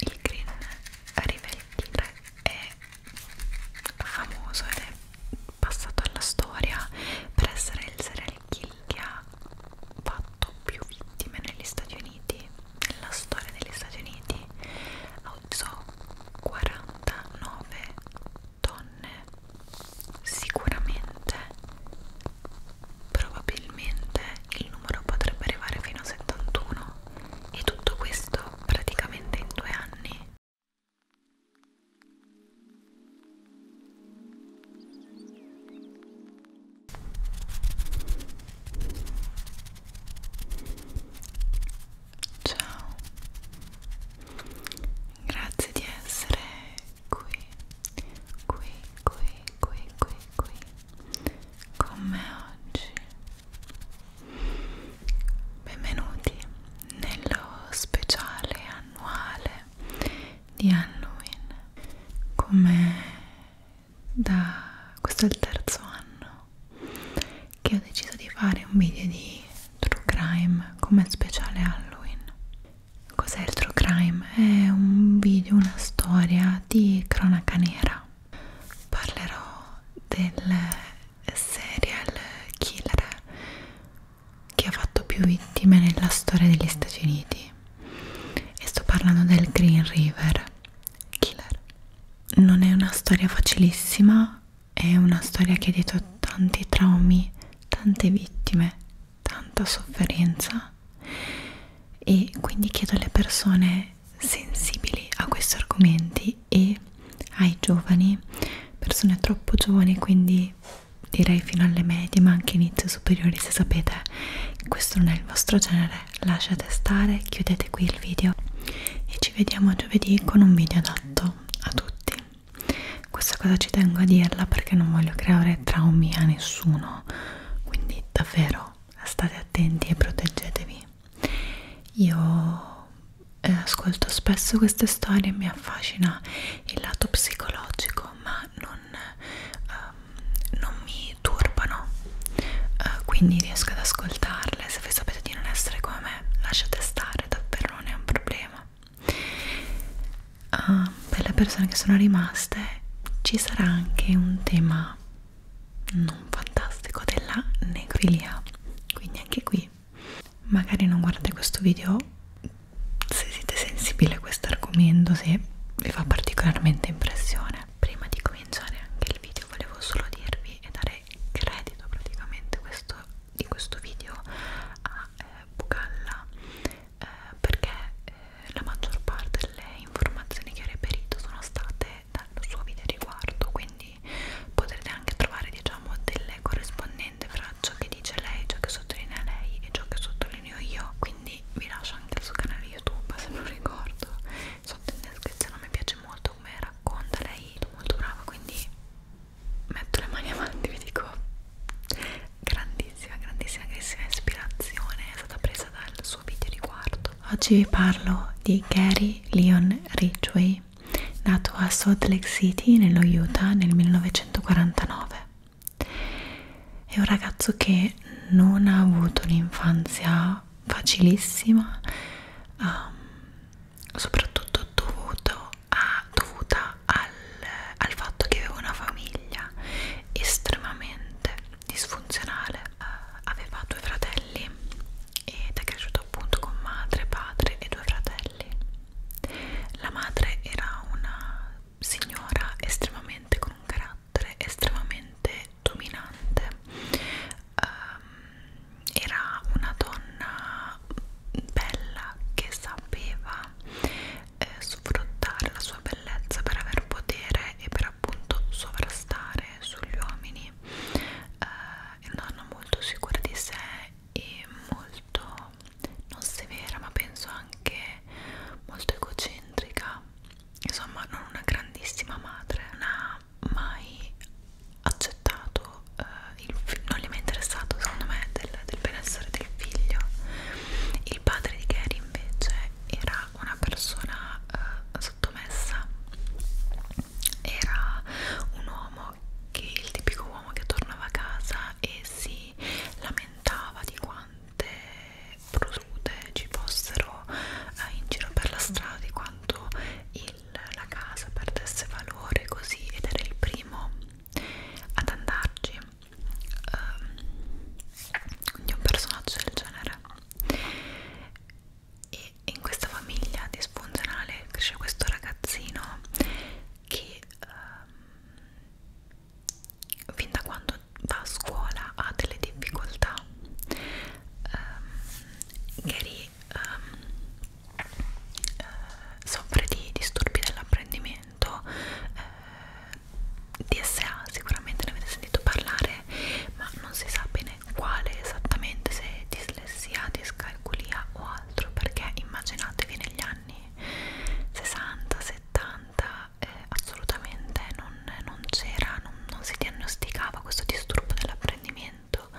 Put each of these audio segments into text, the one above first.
il green riveltire è famoso ed è passato alla storia per essere il serial kill che ha fatto più vittime negli Stati Uniti nella storia degli Stati Uniti ha ucciso 49 donne sicuramente probabilmente il numero potrebbe arrivare fino a 71 e tutto questo praticamente in due anni. Ciao, grazie di essere qui, qui, qui, qui, qui, qui con me oggi. Benvenuti nello speciale annuale di Halloween. Come da questo è il terzo anno che ho deciso di fare un video di True Crime come speciale Halloween. Cos'è il True Crime? È un video, una storia di cronaca nera parlerò del serial killer che ha fatto più vittime nella storia degli Stati Uniti e sto parlando del Green River Killer. Non è una storia facilissima, è una storia che ha dietro tanti traumi, tante vittime, tanta sofferenza e quindi chiedo alle persone persone sensibili a questi argomenti e ai giovani, persone troppo giovani, quindi direi fino alle medie, ma anche inizio superiori, se sapete questo non è il vostro genere, lasciate stare, chiudete qui il video e ci vediamo giovedì con un video adatto a tutti. Questa cosa ci tengo a dirla perché non voglio creare traumi a nessuno, quindi davvero state attenti e proteggetevi. Io eh, ascolto spesso queste storie e mi affascina il lato psicologico, ma non, ehm, non mi turbano, eh, quindi riesco ad ascoltarle. Se voi sapete di non essere come me, lasciate stare, davvero non è un problema. Uh, per le persone che sono rimaste ci sarà anche un tema non fantastico della necrofilia quindi anche qui magari non guardate questo video se siete sensibili a questo argomento se vi fa particolarmente impressione prima di cominciare anche il video volevo solo dirvi e dare credito praticamente questo, di questo video a eh, Bucalla eh, perché eh, la maggior parte delle informazioni che ho reperito sono state dal suo video riguardo quindi potrete anche trovare diciamo delle corrispondenti fra ciò che dice lei, ciò che sottolinea lei e ciò che sottolineo io quindi vi lascio anche il suo canale youtube se non ricordo sotto in descrizione mi piace molto come racconta lei è molto brava quindi metto le mani avanti vi dico grandissima grandissima grandissima ispirazione è stata presa dal suo video riguardo Oggi vi parlo di Gary Leon Ridgway, nato a Salt Lake City, nello Utah, nel 1949. È un ragazzo che non ha avuto un'infanzia facilissima, um, soprattutto dovuto a, dovuta al, al fatto che aveva una famiglia estremamente disfunzionale eh, aveva due fratelli ed è cresciuto appunto con madre, padre e due fratelli la madre era una signora estremamente con un carattere estremamente dominante um, era una donna bella che sapeva eh, sfruttare la sua bellezza per aver potere e per appunto sovrastare sugli uomini quindi eh, una donna molto sicura di sé e molto non severa ma penso anche molto egocentrica insomma non una grandissima madre non ha mai accettato eh, il non gli è mai interessato secondo me del, del benessere del figlio il padre di Gary invece era una persona eh, sottomessa era un uomo che il tipico uomo che tornava a casa e si lamentava di quante protrude ci fossero eh, in giro per la strada, di quanto il, la casa perdesse valore così ed era il primo ad andarci. Um, ehm, quindi un personaggio del genere e in questa famiglia disfunzionale c'è questo ragazzino che ehm, fin da quando va a scuola ha delle difficoltà ehm, Gary ehm, eh, soffre di disturbi dell'apprendimento eh, DSA sicuramente ne avete sentito parlare ma non si sa bene bene quale esattamente se dislessia, discalculia o altro perché immaginatevi negli anni 60, 70 eh, assolutamente non, non c'era, non, non si diagnosticava questo disturbo dell'apprendimento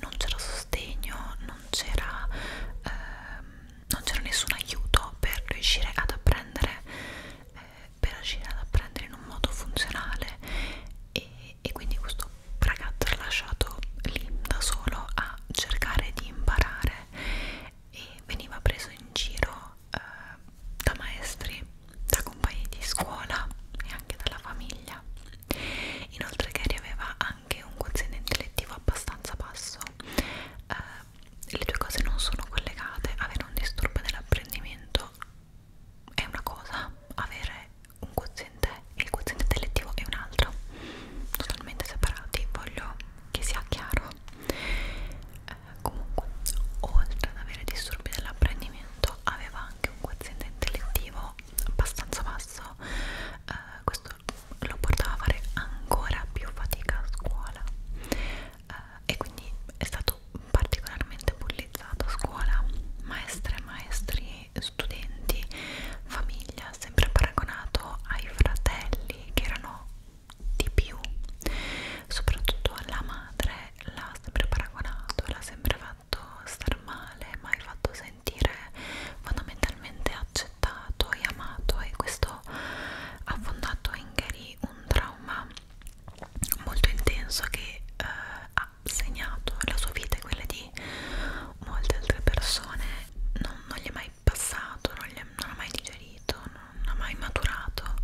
non c'era sostegno, non c'era ehm, nessun aiuto per riuscire ad apprendere eh, per riuscire ad apprendere in un modo funzionale e e quindi questo ragazzo è lasciato lì da solo a cercare di imparare e veniva preso in giro eh, da maestri, da compagni di scuola e anche dalla famiglia inoltre Gary aveva anche un quoziente intellettivo abbastanza basso eh, le due cose non sono collegate avere un disturbo dell'apprendimento è una cosa avere un quoziente e il quoziente intellettivo è un altro totalmente separati voglio che sia chiaro eh, comunque oltre ad avere disturbi dell'apprendimento aveva anche un quoziente intellettivo abbastanza basso eh, questo lo portava a fare ancora più fatica a scuola eh, e quindi è stato particolarmente bullizzata a scuola, maestre, maestri, studenti, famiglia, sempre paragonato ai fratelli che erano di più, soprattutto alla madre l'ha sempre paragonato, l'ha sempre fatto star male, mai fatto sentire fondamentalmente accettato e amato e questo ha fondato in Gary un trauma molto intenso che eh, ha segnato la sua vita e quella di molte altre persone non, non gli è mai passato, non, è, non ha mai digerito, non ha mai maturato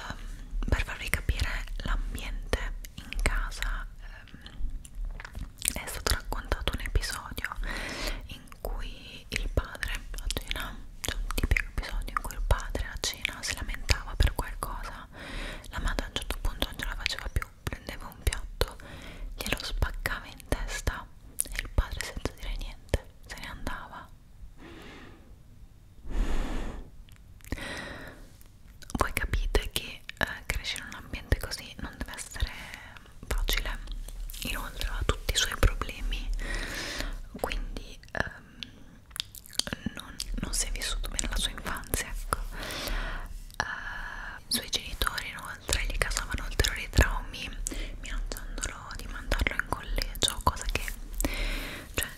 um, per farvi capire l'ambiente in casa um, è stato raccontato un episodio in cui il padre a cena, cioè un tipico episodio in cui il padre a cena si lamentava per qualcosa la, la madre a un certo punto non ce la faceva più prendeva un piatto glielo spaccava in testa e il padre senza dire niente se ne andava voi capite che eh, crescere in un ambiente così non deve essere facile inoltre ha tutti i suoi problemi quindi ehm, non, non si è vissuto bene la sua infanzia ecco uh, eh, i suoi genitori inoltre gli causavano ulteriori traumi minacciandolo di mandarlo in collegio cosa che cioè,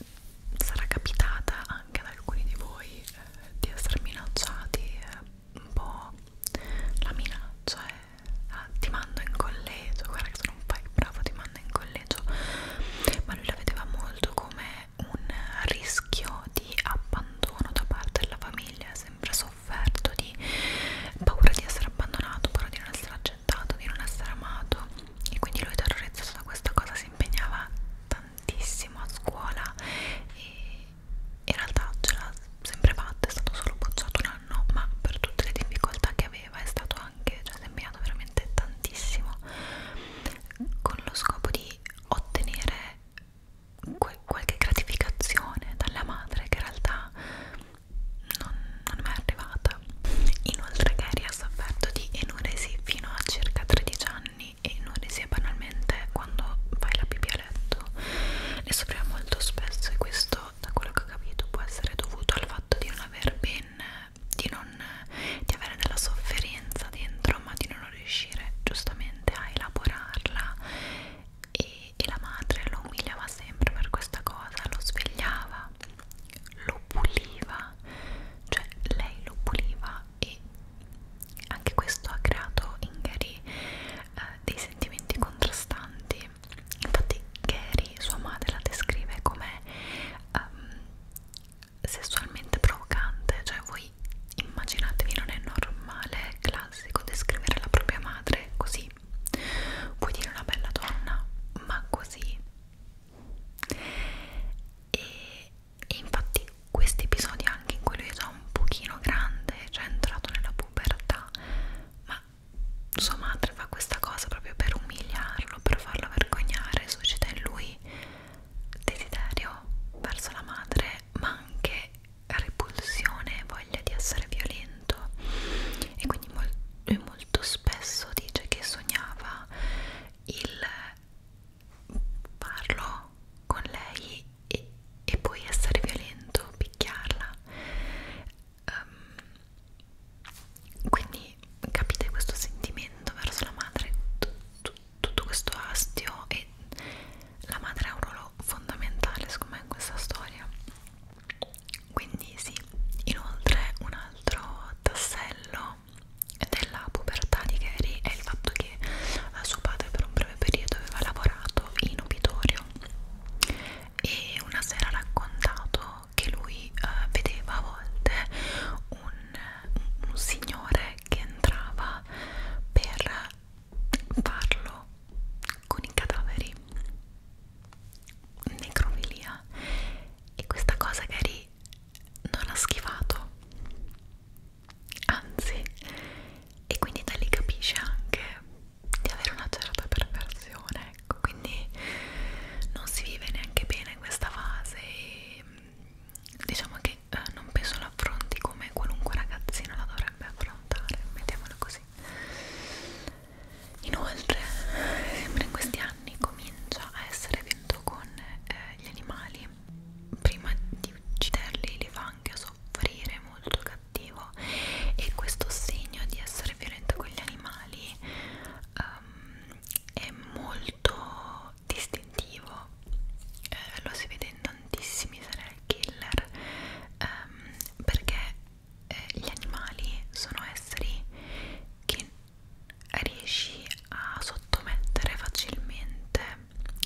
sarà capitata anche ad alcuni di voi eh, di essere minacciati eh, un po' la minaccia è eh, ah, ti mando in collegio guarda che sono un paio bravo ti mando in collegio ma lui la vedeva molto come un rischio di abbandono da parte della famiglia, sempre sofferto di paura di essere abbandonato, paura di non essere accettato, di non essere amato e quindi lui terrorizzato da questa cosa si impegnava tantissimo a scuola e in realtà ce l'ha sempre fatta, è stato solo bocciato un anno, ma per tutte le difficoltà che aveva è stato anche, cioè si è impegnato veramente tantissimo con lo scopo di ottenere que qualche gratificazione dalla madre che in realtà non, non è mai arrivata. Inoltre Gary ha sofferto di enuresi fino a circa 13 anni e enuresi è banalmente quando fai la pipì a letto. Ne soffriva molto spesso e questo, da quello che ho capito, può essere dovuto al fatto di non aver ben di, non, di avere della sofferenza dentro ma di non riuscire giustamente a elaborarla e, e la madre lo umiliava sempre per questa cosa, lo svegliava, lo puliva, cioè lei lo puliva e anche questo ha creato in Gary eh, dei sentimenti contrastanti. Infatti Gary, sua madre, la descrive come um, sessualmente provocante, cioè voi immaginatevi non è normale, classico descrivere la propria madre così, puoi dire una bella donna, ma così. E, e infatti questi episodi anche in cui lui è già un pochino grande, cioè è entrato nella pubertà, ma sua madre fa questa cosa proprio per umiliarlo, per farlo vergognare, suscita in lui desiderio verso la madre ma anche repulsione, voglia di essere violento e quindi mol lui molto spesso dice che sognava il parlo con lei e, e poi essere violento, picchiarla um, quindi capite questo sentimento verso la madre tutto questo astio e la madre ha un ruolo fondamentale secondo me in questa storia quindi sì inoltre un altro tassello della pubertà di Gary è il fatto che eh, suo padre per un breve periodo aveva lavorato in obitorio e una sera ha raccontato che lui eh, vedeva a volte un un, un signore che entrava per farlo con i cadaveri necrofilia e questa cosa Gary non ha schifato anzi e quindi da lì capisce anche di avere una certa perversione ecco quindi non si vive neanche bene in questa fase e diciamo che eh, non penso l'affronti come qualunque ragazzino la dovrebbe affrontare, mettiamolo così. Inoltre, sempre in questi anni comincia a essere vinto con eh, gli animali. Prima di ucciderli li fa anche soffrire molto cattivo e questo segno di essere violento con gli animali um, è molto molto distintivo eh, lo si vede in tantissimi serial killer ehm, perché eh, gli animali sono esseri che riesci a sottomettere facilmente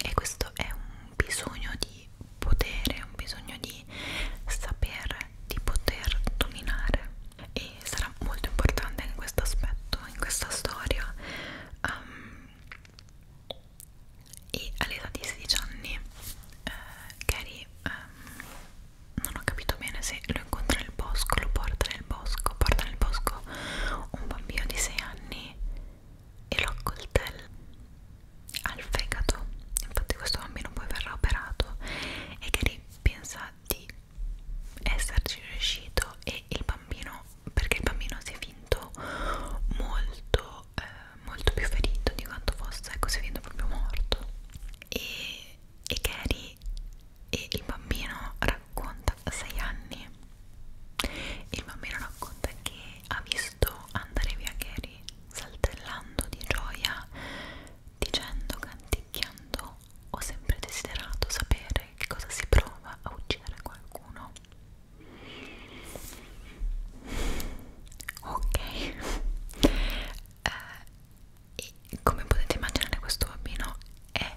e questo è un bisogno di potere, un bisogno di sapere, di poter dominare e sarà molto importante in questo aspetto, in questa storia um, e all'età di 16 anni eh, Gary ehm, non ho capito bene se lo incontra nel bosco, lo porta nel bosco, porta nel bosco un bambino di 6 anni e lo accoltella al fegato, infatti questo bambino poi verrà operato e Gary pensa di esserci riuscito e il bambino perché il bambino si è vinto molto, eh, molto più ferito di quanto fosse, ecco si è vinto proprio morto e, e Gary e il bambino racconta a 6 anni il bambino racconta che ha visto andare via Gary saltellando di gioia dicendo, canticchiando ho sempre desiderato sapere che cosa si prova a uccidere qualcuno no ok eh, e come potete immaginare questo bambino è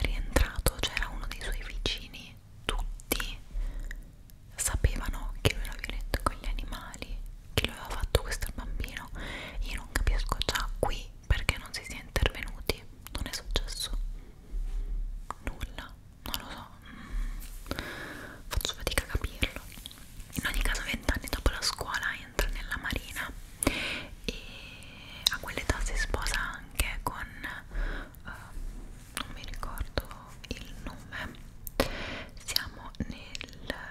rientrato c'era cioè uno dei suoi vicini tutti sapevano che lui era violento con gli animali che lui aveva fatto questo al bambino io non capisco già qui perché non si sia intervenuti non è successo nulla, non lo so, mm, faccio fatica a capirlo. In ogni caso, vent'anni dopo la scuola entra nella marina e a quell'età si sposa anche con, uh, non mi ricordo il nome, siamo nel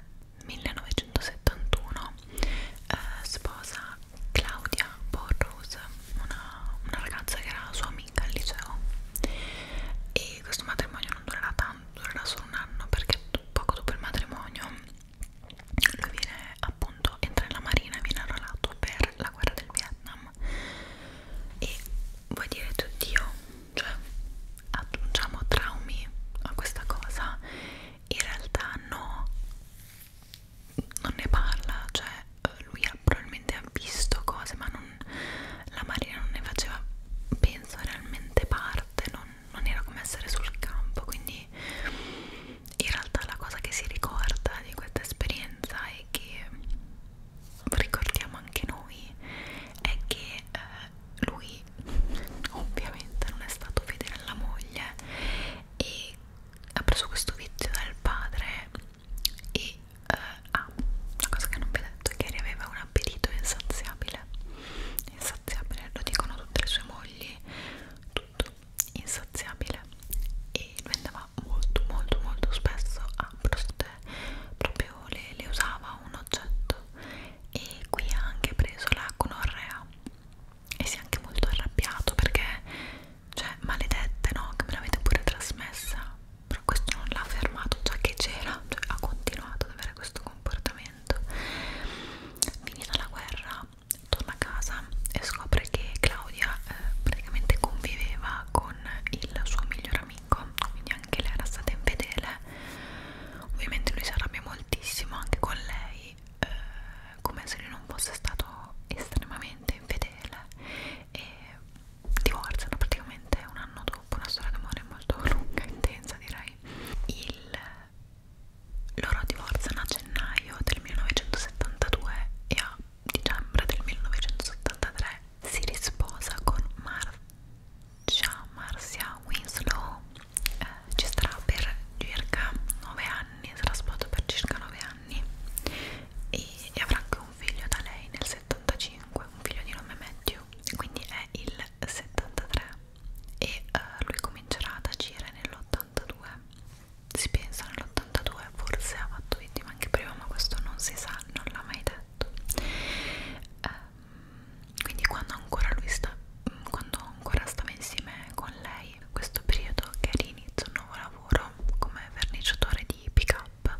1971, uh, eh, sposa Claudia Borrose, una, una ragazza che era sua amica al liceo e questo matrimonio non durerà tanto, durerà solo un anno perché poco dopo il matrimonio lui viene appunto, entra nella marina e viene arruolato per la guerra del Vietnam e vuoi dire oddio, cioè aggiungiamo traumi a questa cosa in realtà no non ne parla, cioè eh, lui ha, probabilmente ha visto cose ma non, la Marina non ne faceva, penso, realmente parte, non, non era come essere sul campo, quindi in realtà la cosa che si ricorda di questa esperienza e che ricordiamo anche noi è che eh, lui ovviamente non è stato fedele alla moglie e ha preso questo vizio dal padre e eh, ah, la cosa che non vi ho detto è che aveva un appetito insaziabile insaziabile, lo dicono tutte le sue mogli tutto insaziabile e lui andava molto molto molto spesso a proste proprio le, le usava un oggetto e qui ha anche preso la conorrea e si è anche molto arrabbiato perché cioè maledette no che me l'avete pure trasmessa però questo non l'ha fermato già che c'era cioè, ha continuato ad avere questo comportamento finita la guerra torna a casa e scopre che Claudia eh, praticamente conviveva con il suo miglior amico quindi anche lei era stata infedele ovviamente lui si arrabbia moltissimo anche con lei eh, come se lui non fosse stato estremamente infedele e divorziano praticamente un anno dopo una storia d'amore molto lunga e intensa direi il loro divorziano a gennaio del 1972 e a dicembre del 1973 si risposa con Marcia, Marcia Winslow eh, ci starà per circa 9 anni sarà sposato per circa 9 anni anni e, e avrà anche un figlio da lei nel 75, un figlio di nome Matthew, quindi è il 73 e uh, lui comincerà ad agire nell'82, si pensa nell'82, forse ha fatto vittima anche prima, ma questo non si sa, non l'ha mai detto. Um, quindi quando ancora lui sta quando ancora stava insieme con lei poi in questo periodo che rinizio un nuovo lavoro come verniciatore di pick up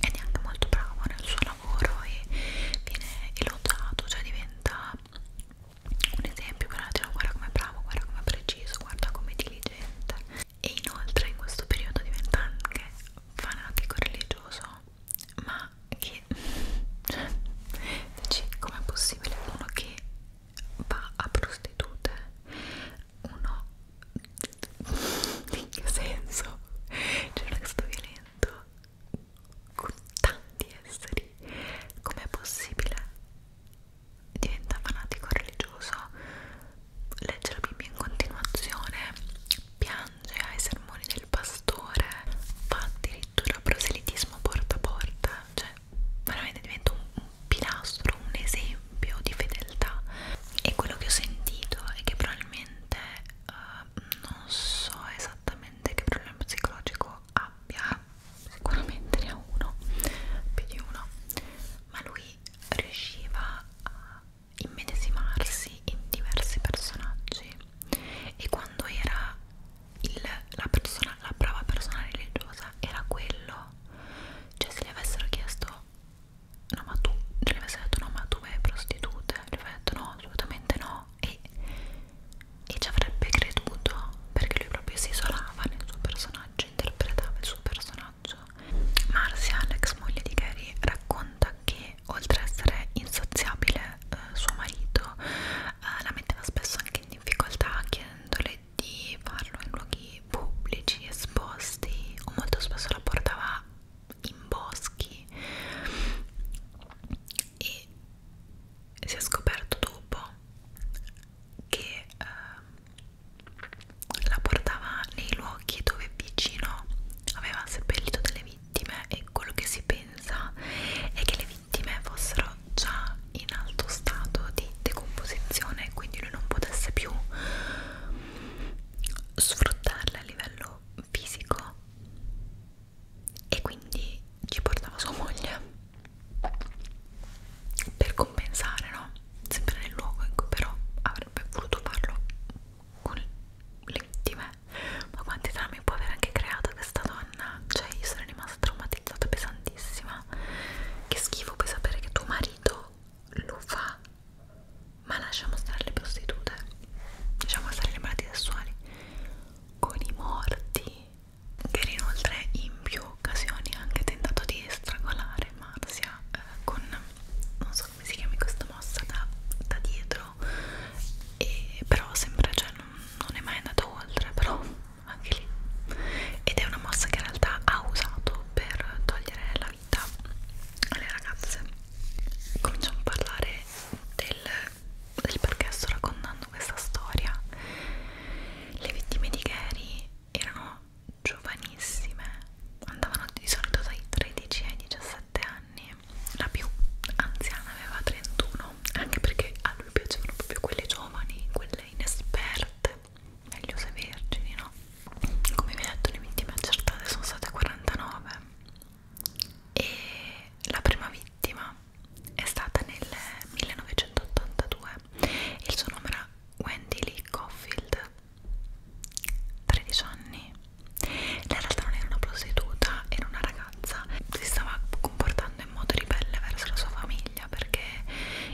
ed è anche molto bravo nel suo lavoro e viene elogiato, cioè diventa un esempio per la gente, guarda com'è bravo, guarda com'è preciso, guarda com'è diligente e inoltre in questo periodo diventa anche fanatico religioso ma che cioè dici com'è possibile uno che va a prostitute uno in che senso? c'era cioè, questo violento con tanti esseri com'è possibile? diventa fanatico religioso legge la Bibbia in continuazione piange ai sermoni del pastore fa addirittura proselitismo porta a porta cioè veramente diventa un pilastro, un esempio di fedeltà e quello che ho sentito è che probabilmente uh, non so esattamente che problema psicologico abbia, sicuramente ne ha uno, più di uno, ma lui riusciva a immedesimarsi in diversi personaggi e quando era il, la, persona, la brava persona religiosa era quello cioè se gli avessero chiesto no ma tu le avessi detto no ma tu hai prostitute le avessi detto no assolutamente no e, e ci avrebbe creduto perché lui proprio si isolava nel suo personaggio interpretava il suo personaggio Marcia l'ex moglie di Gary racconta che oltre a essere insaziabile eh, suo marito eh, la metteva spesso anche in difficoltà chiedendole di farlo in luoghi pubblici, esposti o molto spesso la portava in boschi e si è scoperto dopo che eh, la portava nei luoghi dove vicino aveva seppellito delle vittime e quello che si pensa è che le vittime fossero già in alto stato di decomposizione quindi lui non potesse più sfruttarla a livello fisico e quindi ci portava sua moglie per compensare, no? Sempre nel luogo in cui però avrebbe voluto farlo con le vittime. Ma quanti traumi può aver anche creato questa donna? Cioè, io sono rimasta traumatizzata pesantissima. Che schifo puoi sapere che tuo marito lo fa ma lasciamo stare le prostitute lasciamo stare le malattie sessuali con i morti che inoltre in più occasioni ha anche tentato di strangolare Marzia eh, con non so come si chiami questa mossa da, da dietro e però sembra cioè non, non è mai andato oltre però anche lì ed è una mossa che in realtà ha usato per togliere la vita alle ragazze cominciamo a parlare del, del perché sto raccontando questa storia le vittime di Gary erano giovanissime andavano di solito dai 13 ai 17 anni la più anziana aveva 31 anche perché a lui piacevano proprio quelle giovani quelle inesperte meglio se vergini, no? Come vi ho detto, le vittime accertate sono state 49 e la prima vittima è stata nel 1982 e il suo nome era Wendy Lee Caulfield, 13 anni. Lei in realtà non era una prostituta, era una ragazza, si stava comportando in modo ribelle verso la sua famiglia perché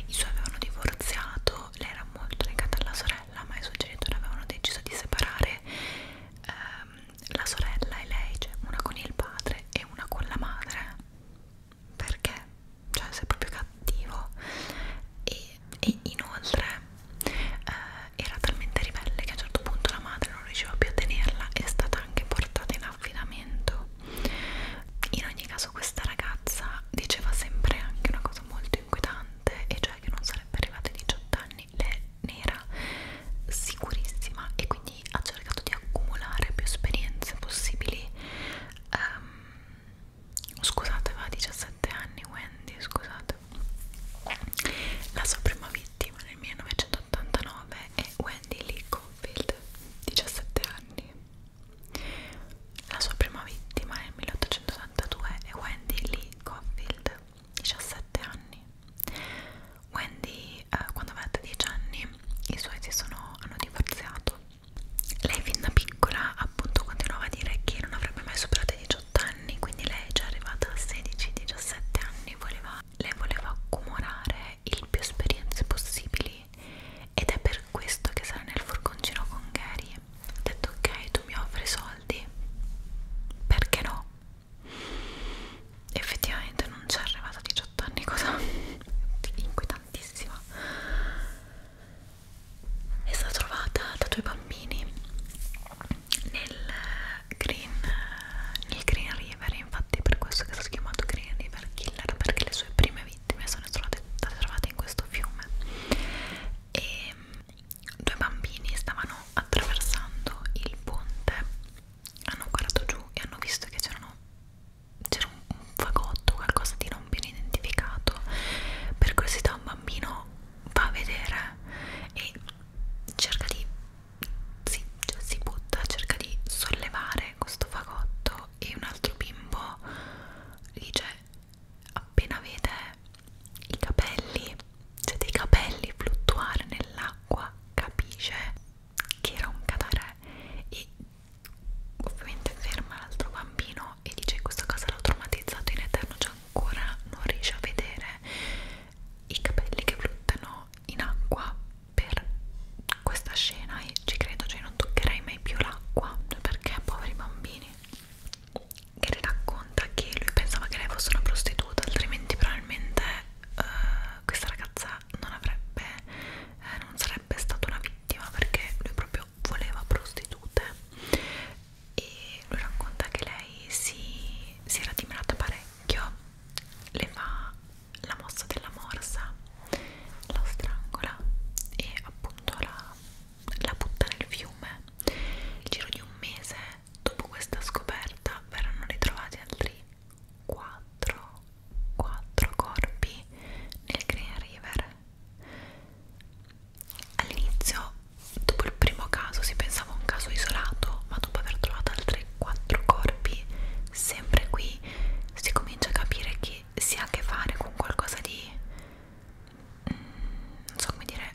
i suoi avevano divorziato, lei era molto legata alla sorella sorella ma i suoi genitori avevano deciso di separare ehm, la sorella e lei, cioè una con il padre e una con la madre perché? cioè sei proprio cattivo e, e inoltre eh, era talmente ribelle che a un certo punto la madre non riusciva più a tenerla è stata anche portata in affidamento in ogni caso questa ragazza diceva sempre anche una cosa molto inquietante e cioè che non sarebbe arrivata ai 18 anni lei ne era sicurissima e quindi ha cercato di accumulare più esperienze possibili um, scusate aveva 17 anni Wendy scusate la sua prima vittima nel 1989 è Wendy Lee Confield 17 anni la sua prima vittima nel 1882 è Wendy Lee Coffield, 17 anni. Wendy, eh, quando aveva 10 anni, i suoi si sono, hanno divorziato. Lei fin da piccola appunto continuava a dire che non avrebbe mai superato i 18 anni, quindi lei già arrivata a 16-17 anni voleva, lei voleva accumulare il più esperienze possibili ed è per questo che sarà nel furgoncino con Gary ho detto ok tu mi offri soldi perché no effettivamente non c'è arrivata a 18 anni cosa inquietantissima è stata trovata da due bambini nel Green, nel Green River infatti per questo che è stato chiamato Green River Killer perché le sue prime vittime sono state trovate in questo fiume e due bambini stavano attraversando il ponte, hanno guardato giù e hanno visto che c'era un, un fagotto, qualcosa di non ben identificato. Per curiosità un bambino va a vedere e cerca di si, cioè si butta, cerca di sollevare questo fagotto e un altro bimbo dice appena vede i capelli, siete i capelli fluttuare nell'acqua, capisce che era un cadere e ovviamente ferma l'altro bambino e dice questa cosa l'ha traumatizzato in eterno, cioè ancora non riesce a vedere i capelli che fluttuano in acqua per questa scena e ci credo, cioè non toccherei mai più l'acqua perché poveri bambini che le racconta che lui pensava che lei fosse una prostituta, altrimenti probabilmente uh, questa ragazza non avrebbe, eh, non sarebbe stata una vittima perché lui proprio voleva prostitute e lui racconta che lei si, si era dimerata parecchio, le fa la mossa della morsa, la strangola e appunto la la butta nel fiume. Nel giro di un mese dopo questa scoperta verranno ritrovati altri 4, 4 corpi nel Green River. All'inizio, dopo il primo caso, si pensava a un caso isolato, ma dopo aver trovato altri 4 corpi, sempre qui si comincia a capire che si ha a che fare con qualcosa di non so come dire,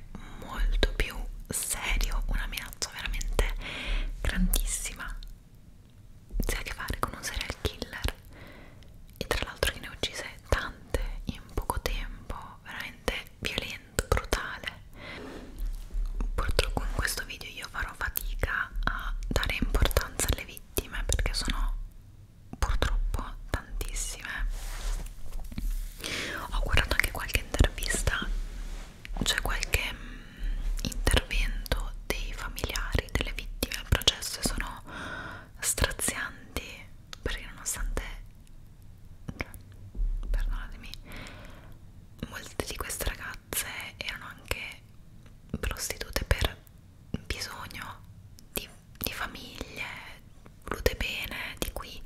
molto più serio, una minaccia veramente grandissima. Si ha a che fare con un serial killer e tra l'altro che ne uccise tante in poco tempo, veramente violento, brutale. Purtroppo in questo video io farò fatica a dare importanza alle vittime perché sono purtroppo tantissime ho guardato anche qualche intervista c'è cioè qualche mh, mm, intervento dei familiari delle vittime al processo e sono strazianti perché nonostante perdonatemi molte di queste ragazze erano anche prostitute per bisogno di di famiglie volute bene di cui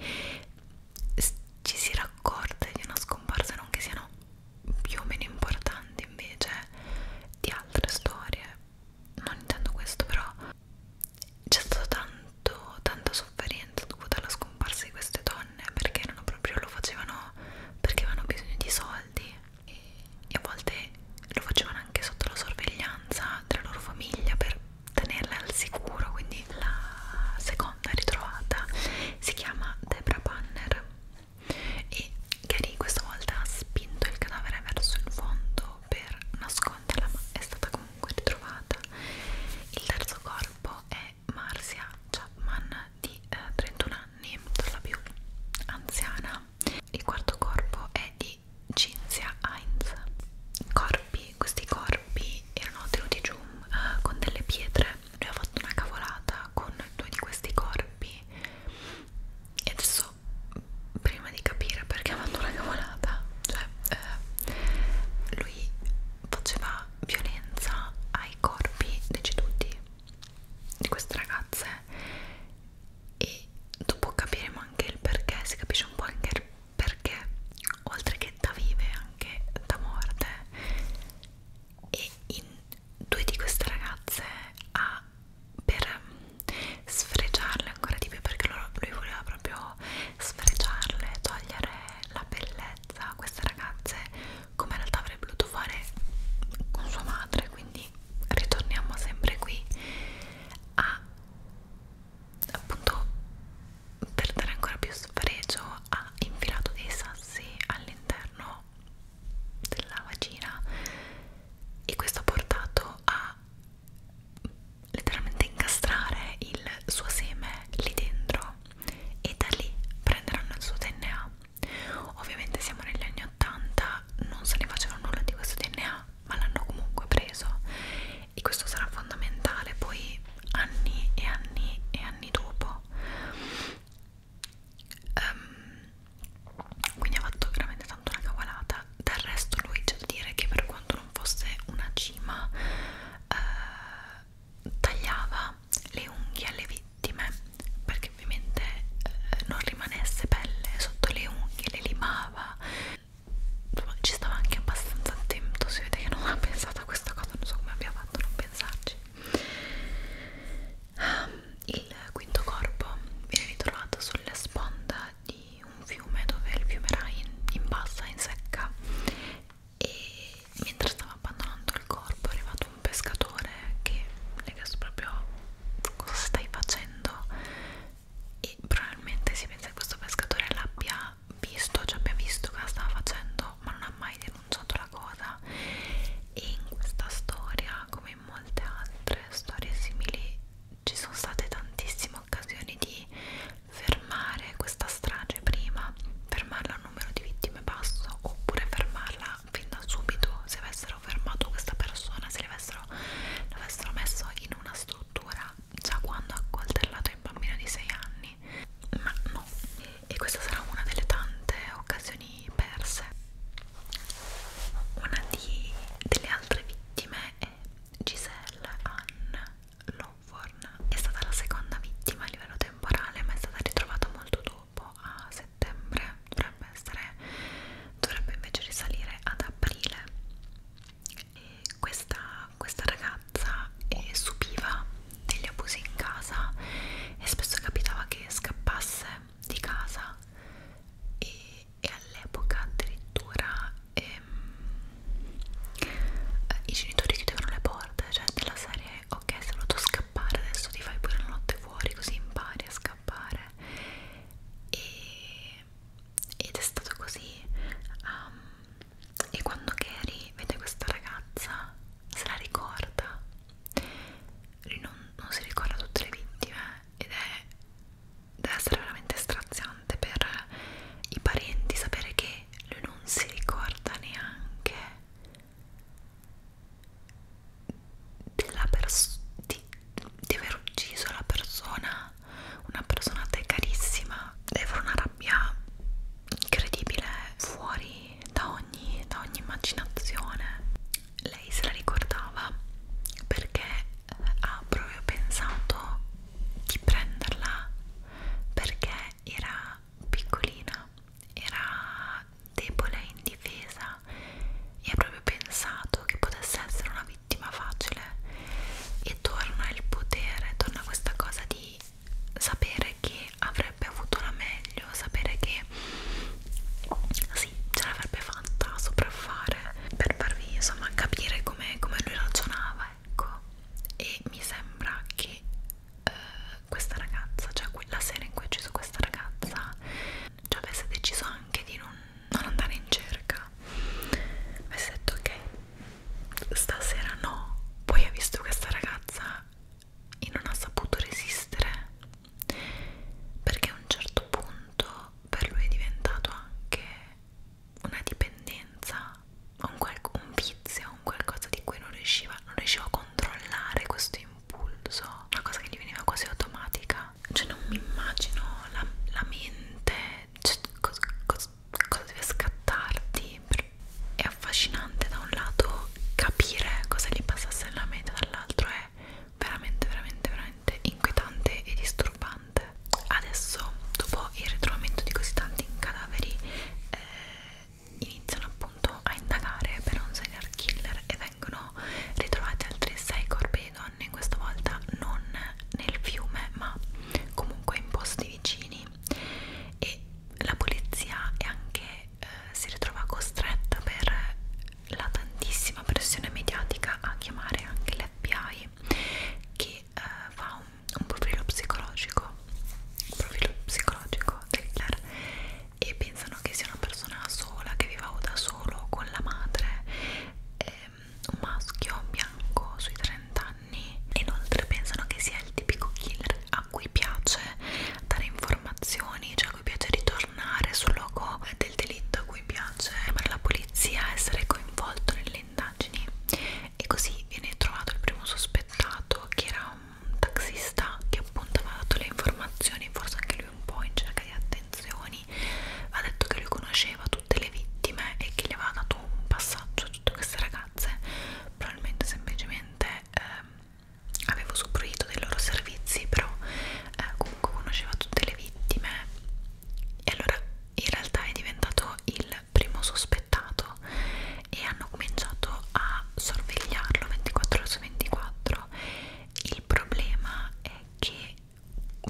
ci si raccorde di una scomparsa non che siano più o meno importanti invece di altre storie non intendo questo però c'è stato tanto tanta sofferenza dovuta alla scomparsa di queste donne perché erano proprio lo facevano perché avevano bisogno di soldi e, e a volte lo facevano anche sotto la sorveglianza della loro famiglia per tenerla al sicuro quindi la seconda ritrovata si chiama Debra Banner e Gary questa volta ha spinto il cadavere verso il fondo per nasconderla ma è stata comunque ritrovata il terzo corpo è Marcia Chapman di eh, 31 anni, per la più anziana il quarto corpo è di Cinzia Heinz. Corpi, questi corpi erano tenuti giù uh, con delle pietre. Lui ha fatto una cavolata con due di questi corpi. E adesso, prima di capire perché ha fatto una cavolata, cioè uh, lui faceva violenza ai corpi deceduti di queste ragazze e dopo capiremo anche il perché si capisce un po' anche perché oltre che da vive anche da morte e in due di queste ragazze ha per sfregiarle ancora di più perché loro, lui voleva proprio sfregiarle, togliere la bellezza a queste ragazze come in realtà avrebbe voluto fare con sua madre quindi ritorniamo sempre qui a appunto per dare ancora più sfregio ha infilato dei sassi all'interno della vagina e questo ha portato a letteralmente incastrare il suo seme lì dentro e da lì prenderanno il suo DNA ovviamente siamo negli anni 80 non se ne faceva nulla di questo DNA ma l'hanno comunque preso e questo sarà fondamentale poi anni e anni e anni dopo um, quindi ha fatto veramente tanto una cavolata del resto lui c'è da dire che per quanto non fosse una cima eh, tagliava le unghie alle vittime perché ovviamente eh, non rimanesse pelle sotto le unghie le limava ci stava anche abbastanza attento si vede che non ha pensato a questa cosa non so come abbia fatto a non pensarci um, il quinto corpo viene ritrovato sulla sponda di un fiume dove il fiume era in, in bassa, in secca e mentre stava abbandonando il corpo è arrivato un pescatore che mi ha chiesto proprio cosa stai facendo e probabilmente si pensa che questo pescatore l'abbia visto, cioè abbia visto cosa stava facendo ma non ha mai denunciato la cosa e in questa storia come in molte altre storie simili ci sono state tantissime occasioni di fermare questa strage prima fermarla a un numero di vittime basso oppure fermarla fin da subito se avessero fermato questa persona se l'avessero messo in una, struttura già quando ha coltellato il bambino di 6 anni, ma no. E questa sarà una delle tante occasioni perse. Una di, delle altre vittime è Giselle Ann Lovorn. È stata la seconda vittima a livello temporale, ma è stata ritrovata molto dopo, a settembre. Dovrebbe essere dovrebbe invece risalire ad aprile questa, questa ragazza eh, subiva degli abusi in casa e spesso capitava che scappasse di casa e, e all'epoca addirittura ehm, i genitori chiudevano le porte, cioè della serie ok sei voluto scappare adesso ti fai pure la notte fuori così impari a scappare e, ed è stato così um, e quando Carrie vede questa ragazza se la ricorda lui non, non si ricorda tutte le vittime ed è deve essere veramente straziante per i parenti sapere che lui non si ricorda neanche della pers di, di aver ucciso la persona una persona a te carissima deve una rabbia incredibile fuori da ogni, da ogni immaginazione lei se la ricordava perché ha proprio pensato di prenderla perché era piccolina era debole e indifesa e ha proprio pensato che potesse essere una vittima facile e torna il potere, torna questa cosa di sapere che avrebbe avuto la meglio, sapere che sì, ce l'avrebbe fatta a sopraffare per farvi insomma capire come com lui ragionava, ecco. E mi sembra che eh, questa ragazza, cioè la sera in cui ho ucciso questa ragazza, cioè avesse deciso anche di non, non andare in cerca, raga mi ha detto ok stasera no poi ha visto questa ragazza e non ha saputo resistere perché a un certo punto per lui è diventato anche una dipendenza un, un vizio un qualcosa di cui non riusciva non riusciva a controllare questo impulso una cosa che gli veniva quasi automatica cioè non mi immagino la, la mente cioè, cos, cos, cosa deve scattarti è affascinante da un lato capire cosa gli passasse nella mente dall'altro è veramente veramente veramente inquietante e disturbante adesso dopo il ritrovamento di così tanti cadaveri eh, iniziano appunto a indagare per un serial killer e vengono ritrovati altri sei corpi di donne questa volta non nel fiume ma comunque in posti vicini vicini e la polizia è anche eh, si ritrova costretta per la tantissima pressione mediatica a chiamare anche l'FBI che eh, fa un, un profilo psicologico un profilo psichologico dell'Hitler e pensano che sia una persona sola che viva da solo con la madre eh, un maschio bianco sui 30 anni e inoltre pensano che sia il tipico killer a cui piace dare informazioni, cioè a cui piace ritornare sul luogo del delitto, a cui piace chiamare la polizia, essere coinvolto nelle indagini e così viene trovato il primo sospettato che era un taxista che appunto aveva dato le informazioni, forse anche lui un po' in cerca di attenzioni, ha detto che lui conosceva tutte le vittime e che gli aveva dato un passaggio soprattutto queste ragazze probabilmente semplicemente ehm, avevo usufruito dei loro servizi però eh, comunque conosceva tutte le vittime e allora in realtà è diventato il primo sospettato e hanno cominciato a sorvegliarlo 24 ore su 24 il problema è che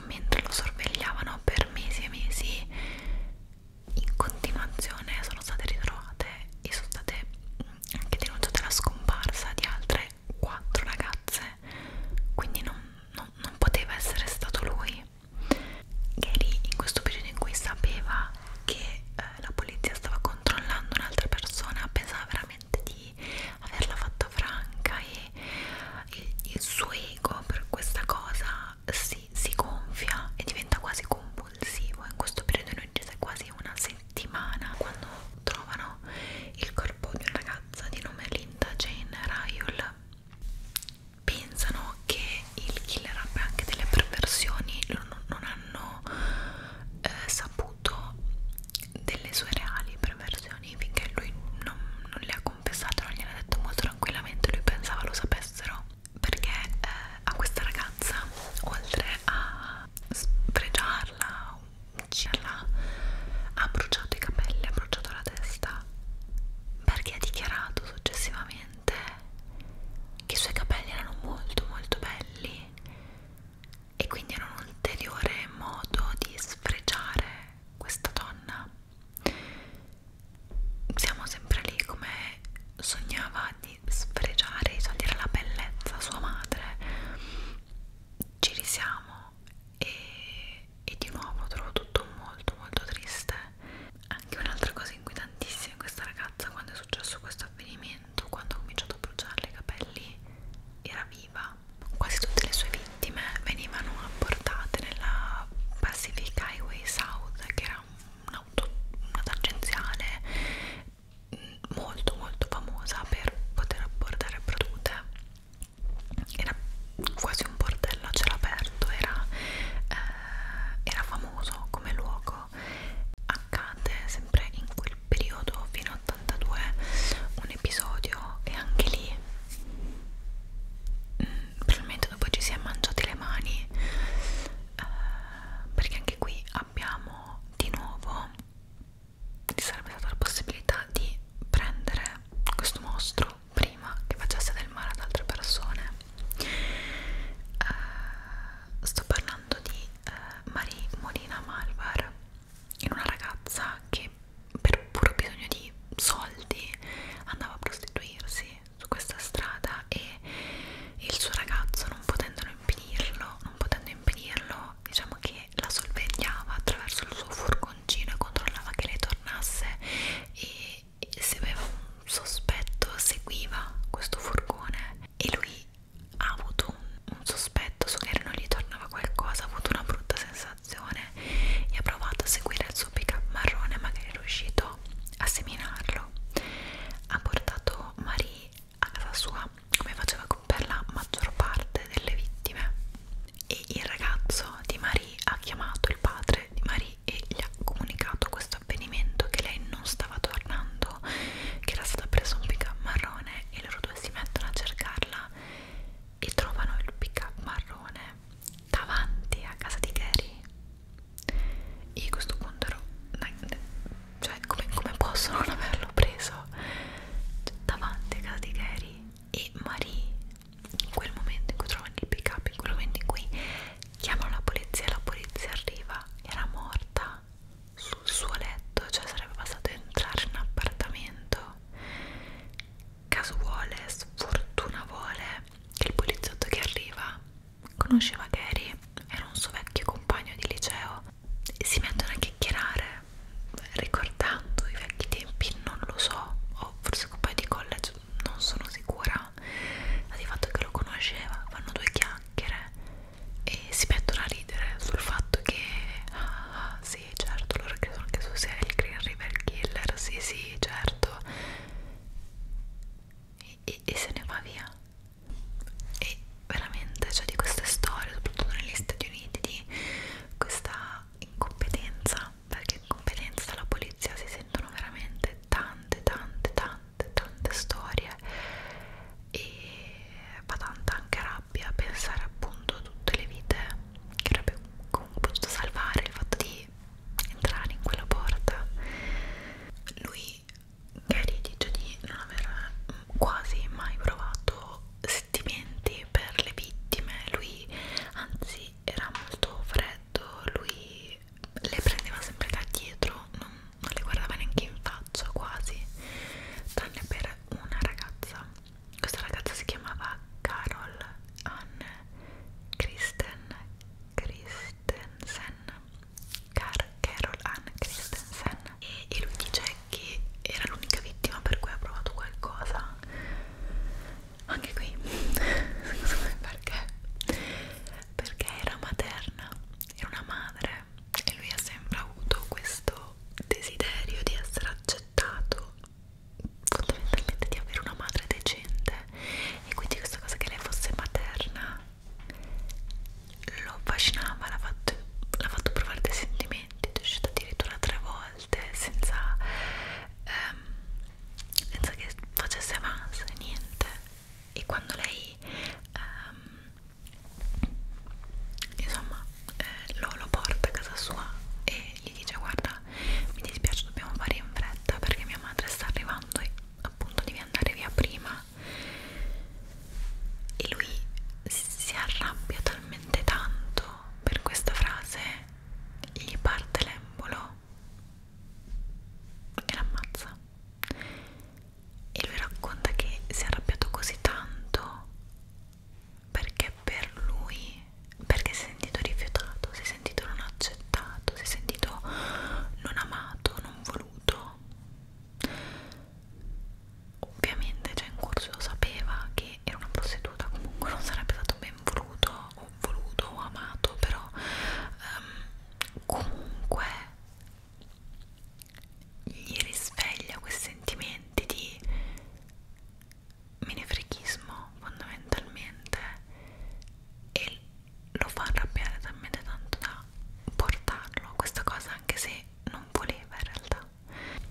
mentre lo sorvegliavano per mesi e mesi in continuazione sono state ritrovate e sono state anche denunciate la scomparsa di altre quattro ragazze quindi non, non, non poteva essere stato lui Gary in questo periodo in cui sapeva che eh, la polizia stava controllando un'altra persona pensava veramente di averla fatta franca e il, il suo ego per questa cosa si, si gonfia e diventa quasi compulsivo in questo periodo in cui c'è quasi una settimana quando trovano il corpo di una ragazza di nome Linda Jane Rayul pensano che il killer abbia anche delle perversioni non, non hanno eh, saputo delle sue reali perversioni finché lui non, non le ha confessato non gliel'ha detto molto tranquillamente lui pensava lo sapessero perché eh, a questa ragazza oltre a spregiarla ucciderla ha bruciato i capelli ha bruciato la testa perché ha dichiarato successivamente che i suoi capelli erano molto molto belli e quindi era un ulteriore modo di sfregiare questa donna siamo sempre lì come sognava di sfregiare i soldi della bellezza sua madre ci risiamo e, e di nuovo trovo tutto molto molto triste anche un'altra cosa inquietantissima questa ragazza quando è successo questo avvenimento quando ha cominciato a bruciarle i capelli era viva quasi tutte le sue vittime venivano apportate nella Pacific Highway South che era un un'auto una tangenziale mm, molto molto famosa per poter abbordare produte era quasi un portello a cielo aperto era, eh, era famoso come luogo accade sempre in quel periodo fino a 82 un episodio e anche lì probabilmente dopo ci si è mangiati le mani eh, perché anche qui abbiamo di nuovo ci sarebbe stata la possibilità di prendere questo mostro prima che facesse del male ad altre persone eh, sto parlando di eh, Marie Molina Malvar in una ragazza che per puro bisogno di soldi andava a prostituirsi su questa strada e il suo ragazzo non potendo impedirlo, non potendo impedirlo, diciamo che la sorvegliava attraverso il suo furgoncino e controllava che lei tornasse e, e se aveva un sospetto seguiva questo furgone e lui ha avuto un, un sospetto su che non gli tornava qualcosa, ha avuto una brutta sensazione e ha provato a seguire il suo pick up marrone ma che è riuscito iniziò a seminarlo. Ha portato Marie a casa sua, come faceva per la maggior parte delle vittime. E il ragazzo di Marie ha chiamato il padre di Marie e gli ha comunicato questo avvenimento: che lei non stava tornando, che era stata presa un pick-up marrone e loro due si mettono a cercarla e trovano il pick-up marrone davanti a casa di Gary. Io a questo punto ero. Cioè, come, come posso non averlo preso cioè, davanti a casa di Gary e Marie? In quel momento in cui trovano il pick up, in quel momento in cui chiamano la polizia e la polizia arriva, era morta sul suo letto, cioè sarebbe passato a entrare in un appartamento. Caso vuole, sfortuna vuole che il poliziotto che arriva conosceva Gary, era un suo vecchio compagno di liceo e si mettono a chiacchierare ricordando i vecchi tempi, non lo so, o forse compagno di college, non sono sicura, ma di fatto che lo conosceva, fanno due chiacchiere e si mettono a ridere sul fatto che ah, ah sì, certo, loro credono che tu sia il Green River Killer, sì, sì, certo e, e se ne va via e veramente cioè di queste storie soprattutto negli Stati Uniti di questa incompetenza perché incompetenza dalla polizia si sentono veramente tante tante tante tante storie e fa tanta anche rabbia pensare appunto a tutte le vite che avrebbe comunque potuto salvare il fatto di entrare in quella porta lui Gary dice di non aver quasi mai provato sentimenti per le vittime lui anzi era molto freddo lui le prendeva sempre da dietro non, non le guardava neanche in faccia quasi tranne per una ragazza questa ragazza si chiamava Carol Ann Kristen Chris Christensen Car Carol Ann Christensen e, e lui dice che era l'unica vittima per cui ha provato qualcosa anche qui secondo me perché perché era materna era una madre e lui ha sempre avuto questo desiderio di essere accettato fondamentalmente di avere una madre decente e quindi questa cosa che lei fosse materna lo affascinava, l'ha fatto, fatto provare dei sentimenti, è uscita addirittura tre volte senza, ehm, senza che facesse avanza, niente e quando lei ehm, insomma eh, lo, lo porta a casa sua e gli dice guarda mi dispiace dobbiamo fare in fretta perché mia madre sta arrivando e appunto devi devi andare via prima e lui si arrabbia talmente tanto per questa frase gli parte l'embolo e l'ammazza e lui racconta che si è arrabbiato così tanto perché per lui perché si è sentito rifiutato si è sentito non accettato, si è sentito non amato, non voluto. Ovviamente, cioè in corso sapeva che era una prostituta, comunque non sarebbe stato ben voluto o voluto o amato, però um, comunque gli risveglia questi sentimenti di menefreghismo fondamentalmente e lo fa arrabbiare talmente tanto da portarlo a questa cosa anche se non voleva in realtà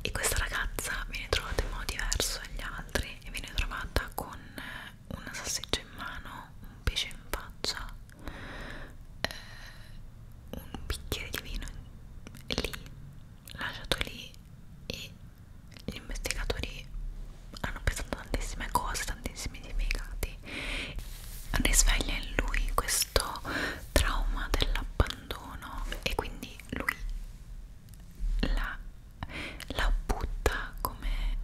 e questa ragazza viene trovata in modo diverso dagli altri e viene trovata con eh, una salsiccia in mano, un pesce in faccia eh, un bicchiere di vino lì, lasciato lì e gli investigatori hanno pensato tantissime cose, tantissimi significati risveglia in lui questo trauma dell'abbandono e quindi lui la, la butta come,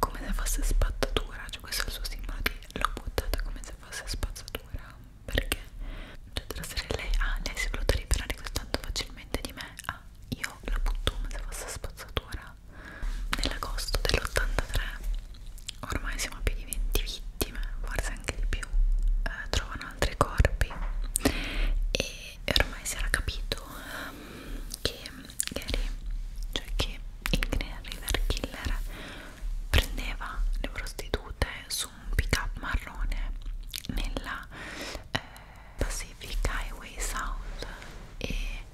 come se fosse spazzatura cioè questo è il suo simbolo di l'ho buttata come se fosse spazzatura perché cioè della serie lei ah lei si è voluta liberare così tanto facilmente di me ah io la butto come se fosse spazzatura era nell'agosto dell'83 ormai siamo a più di 20 vittime forse anche di più eh, trovano altri corpi e ormai si era capito um, che Gary cioè che il Green River Killer prendeva le prostitute su un pick up marrone nella eh, Pacific Highway South e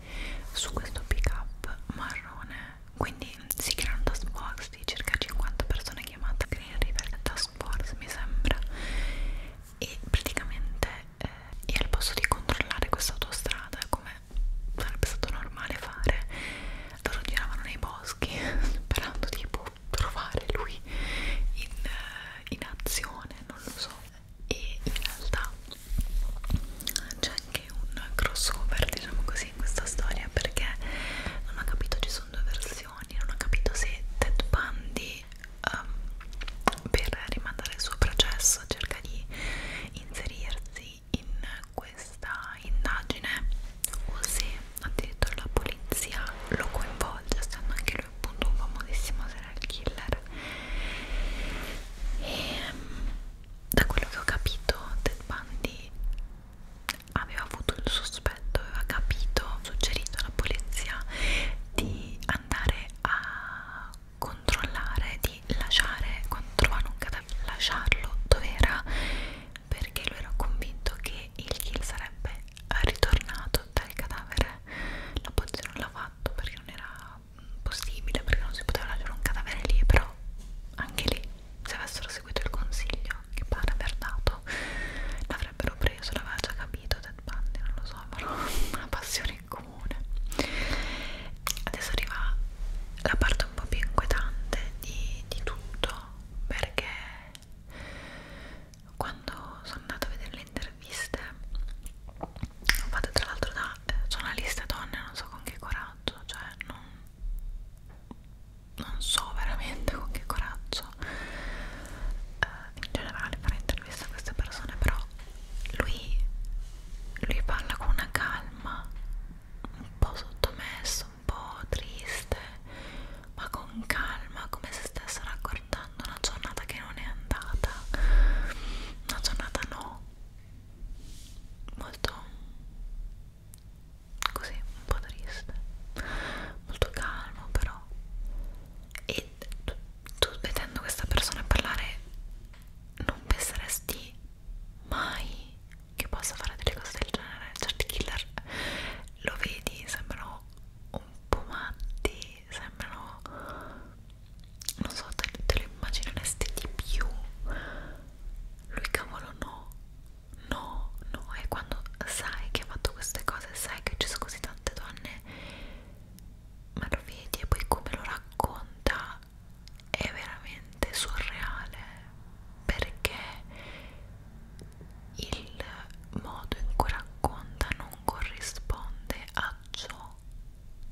su questo pick up marrone quindi si crea un task force di circa 50 persone chiamate Green River Task Force mi sembra e praticamente eh, io al posto di controllare questa autostrada come sarebbe stato normale fare loro giravano nei boschi sperando tipo trovare lui in, eh, in azione non lo so e in realtà c'è anche un crossover diciamo così in questa storia perché non ho capito ci sono due versioni non ho capito se Ted Bundy um, per rimandare il suo processo cerca di inserirsi in questa indagine o se addirittura la polizia lo coinvolge essendo anche lui appunto un famosissimo serial killer e ehm, da quello che ho capito Ted Bundy aveva avuto il sospetto, aveva capito, suggerito alla polizia di andare a controllare, di lasciare quando trovano un cadavere, lasciarlo dove era perché lui era convinto che il kill sarebbe ritornato dal cadavere. La polizia non l'ha fatto perché non era possibile perché non si poteva lasciare un cadavere lì, però anche lì se avessero seguito il consiglio che pare aver dato l'avrebbero preso, l'aveva già capito Ted Bundy, non lo so, avevano una passione in comune adesso arriva la parte un po' più inquietante di, di tutto perché quando sono andata a vedere le interviste fatta tra l'altro da eh, giornaliste donne non so con che coraggio cioè non, non so veramente con che coraggio eh, in generale fare interviste a queste persone però lui lui parla con una calma un po' sottomesso un po' triste ma con calma come se stesse raccontando una giornata che non è andata una giornata no molto così un po' triste molto calmo però e tu, tu vedendo questa persona parlare non penseresti mai che possa fare delle cose del genere certi killer lo vedi sembrano un po' matti sembrano non so te, te lo immagineresti di più lui cavolo no no no e quando sai che ha fatto queste cose sai che ci sono così tante donne ma lo vedi e poi come lo racconta è veramente surreale perché il modo in cui racconta non corrisponde a ciò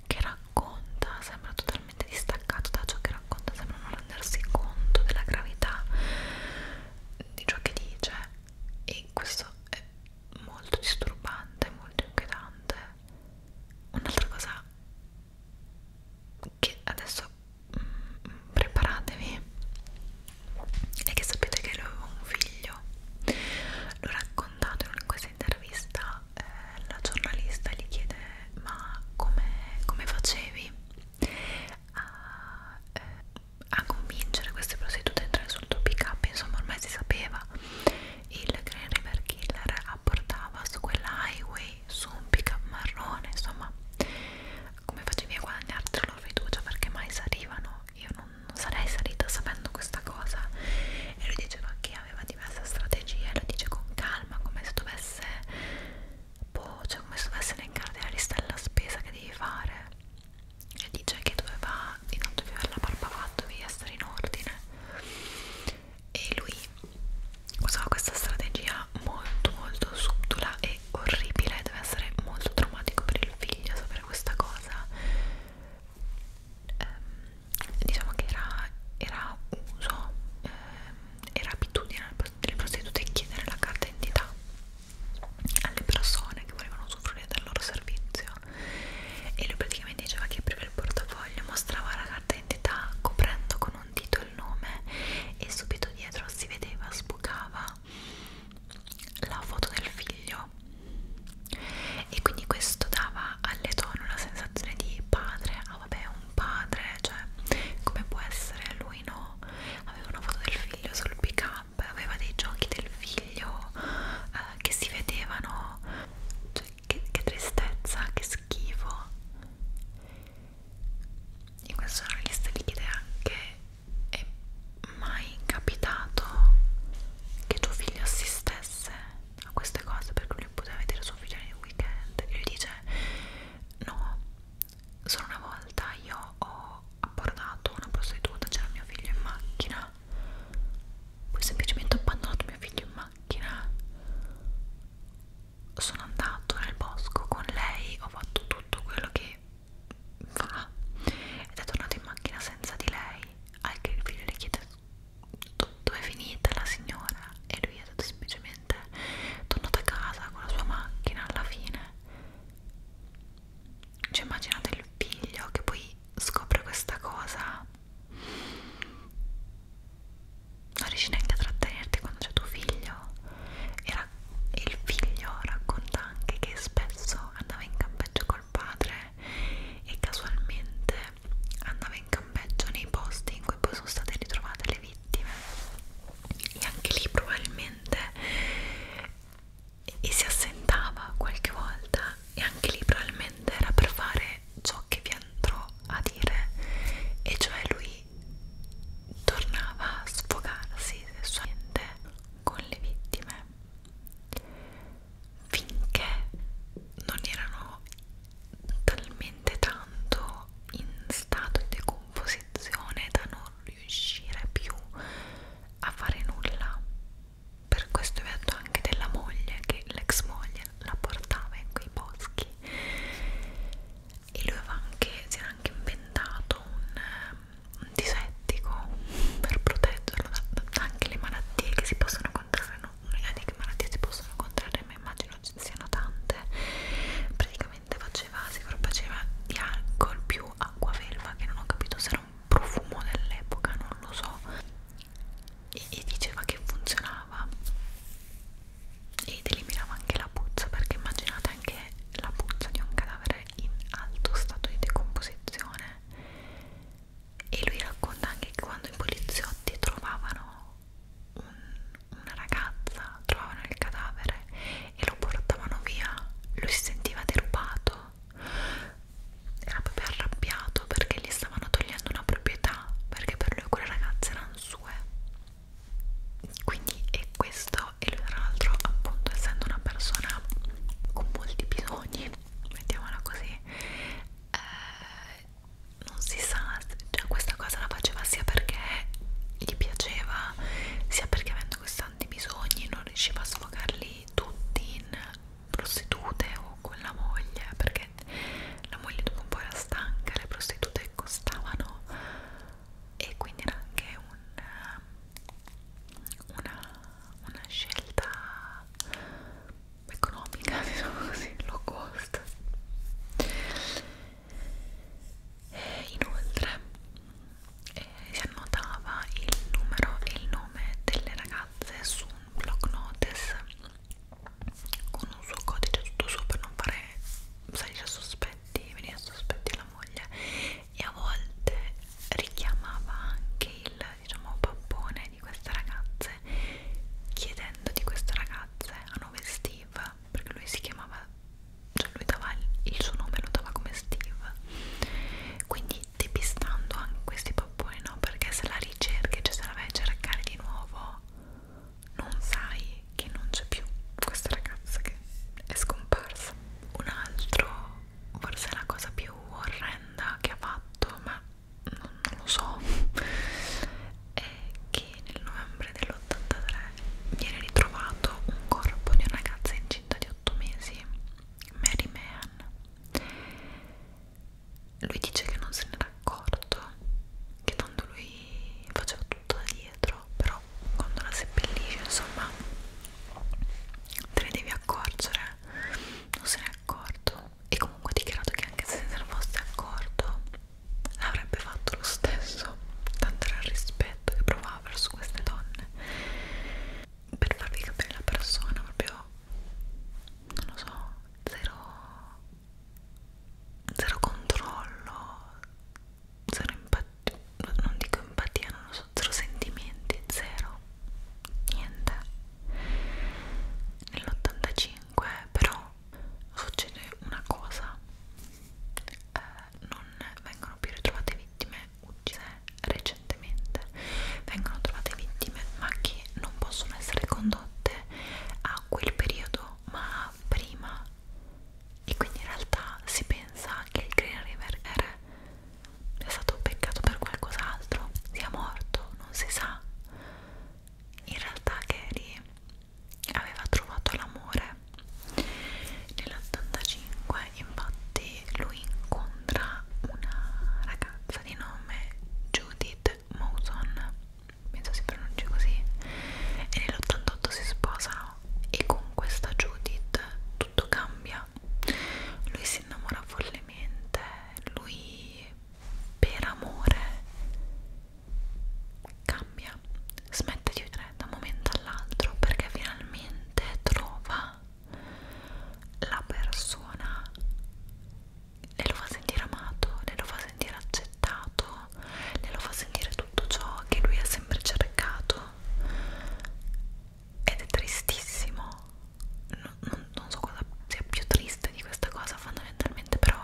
che racconta sembra totalmente distaccato da ciò che racconta, sembra non rendersi conto della gravità di ciò che dice e questo è molto disturbante, molto inquietante. Un'altra cosa che adesso mh, mm, preparatevi è che sapete che lui aveva un figlio, l'ho raccontato in questa intervista eh, la giornalista gli chiede ma come, come facevi a, eh, a convincere queste prostitute a entrare sul tuo pick up insomma ormai si sapeva il Green River Killer apportava su quella highway su un pick up marrone insomma come facevi a guadagnarti la loro fiducia perché mai salivano io non, non sarei salita sapendo questa cosa e lui diceva che che aveva diverse strategie lo dice con calma come se dovesse boh, cioè come se dovesse elencare della lista della spesa che devi fare e dice che doveva intanto più la barba fatto devi essere in ordine e lui usava questa strategia molto molto subdola e orribile deve essere molto traumatico per il figlio sapere questa cosa ehm, diciamo che era, era uso, ehm, era abitudine delle prostitute chiedere la carta d'identità alle persone che volevano usufruire del loro servizio e lui praticamente diceva che apriva il portafoglio, mostrava la carta d'identità coprendo con un dito il nome e subito dietro si vedeva, sbucava la foto del figlio e quindi questo dava alle donne una sensazione di padre no ah, vabbè è un padre, cioè come può essere lui no? Aveva una foto del figlio sul pick up, aveva dei giochi del figlio eh, che si vedevano, cioè che, che tristezza, che schifo. In questo giornalista gli chiede anche è mai capitato che tuo figlio assistesse a queste cose perché lui poteva vedere suo figlio nel weekend e lui dice no solo una volta io ho abbordato una prostituta c'era mio figlio in macchina poi semplicemente ho abbandonato mio figlio in macchina sono andato nel bosco con lei ho fatto tutto quello che fa ed è tornato in macchina senza di lei anche il figlio le chiede tutto è finita la signora e lui è stato semplicemente tornato a casa con la sua macchina alla fine cioè immaginate il figlio che poi scopre questa cosa non riesci neanche a trattenerti quando c'è tuo figlio e, e il figlio racconta anche che spesso andava in campeggio col padre e casualmente andava in campeggio nei posti in cui poi sono state ritrovate le vittime e anche lì probabilmente e si assentava qualche volta e anche lì probabilmente era per fare ciò che vi andrò a dire e cioè lui tornava a sfogarsi sessualmente con le vittime finché non erano talmente tanto in stato di decomposizione da non riuscire più a fare nulla per questo vi ho detto anche della moglie che l'ex moglie la portava in quei boschi e lui aveva anche, si era anche inventato un, um, un disettico per proteggerlo da, da anche le malattie che si possono contrarre non ho idea di che malattie si possono contrarre ma immagino ci siano tante praticamente faceva si faceva di alcol più acqua velva che non ho capito se era un profumo dell'epoca non lo so e, e diceva che funzionava ed eliminava anche la puzza perché immaginate anche la puzza di un cadavere in alto stato di decomposizione e lui racconta anche che quando i poliziotti trovavano un, una ragazza, trovavano il cadavere e lo portavano via, lui si sentiva derubato, era proprio arrabbiato perché gli stavano togliendo una proprietà, perché per lui quelle ragazze erano sue. Quindi è questo, e lui tra l'altro appunto essendo una persona con molti bisogni, mettiamola così, eh, non si sa, cioè questa cosa la faceva sia perché gli piaceva, sia perché avendo questi tanti bisogni non riusciva a sfogarli tutti in prostitute o con la moglie, perché la moglie dopo un po' era stanca, le prostitute costavano e quindi era anche un, una, una scelta economica, diciamo così, low cost. E inoltre eh, si annotava il numero e il nome delle ragazze su un block notice con un suo codice tutto suo per non fare salire a sospetti, venire a sospetti la moglie e a volte richiamava anche il diciamo pappone di queste ragazze ragazze chiedendo di queste ragazze a nome Steve perché lui si chiamava cioè lui dava il, il suo nome lo dava come Steve quindi depistando anche questi papponi no perché se la ricerchi cioè se la vai a cercare di nuovo non sai che non c'è più questa ragazza che è scomparsa un altro forse la cosa più orrenda che ha fatto ma non, non lo so è che nel novembre dell'83 viene ritrovato un corpo di una ragazza incinta di 8 mesi Mary Mehan lui dice che non se n'era accorto che tanto lui faceva tutto da dietro però quando la seppellisce insomma te ne devi accorgere non se n'è accorto e comunque ha dichiarato che anche se se ne fosse accorto avrebbe fatto lo stesso tanto era il rispetto che provava verso queste donne per farvi capire la persona proprio non lo so zero zero controllo zero empatia non dico empatia non lo so zero sentimenti zero niente nell'85 però succede una cosa eh, non vengono più ritrovate vittime uccise recentemente vengono trovate vittime ma che non possono essere condotte a quel periodo ma prima e quindi in realtà si pensa che il Green River è stato beccato per qualcos'altro sia morto, non si sa in realtà Gary aveva trovato l'amore nell'85 infatti lui incontra una ragazza di nome Judith Mawson penso si pronuncia così e nell'88 si sposa e con questa Judith tutto cambia lui si innamora follemente lui per amore cambia, smette di odiare da un momento all'altro perché finalmente trova la persona e lo fa sentire amato, le lo fa sentire accettato, le lo fa sentire tutto ciò che lui ha sempre cercato ed è tristissimo, non, non, non so cosa sia più triste di questa cosa fondamentalmente però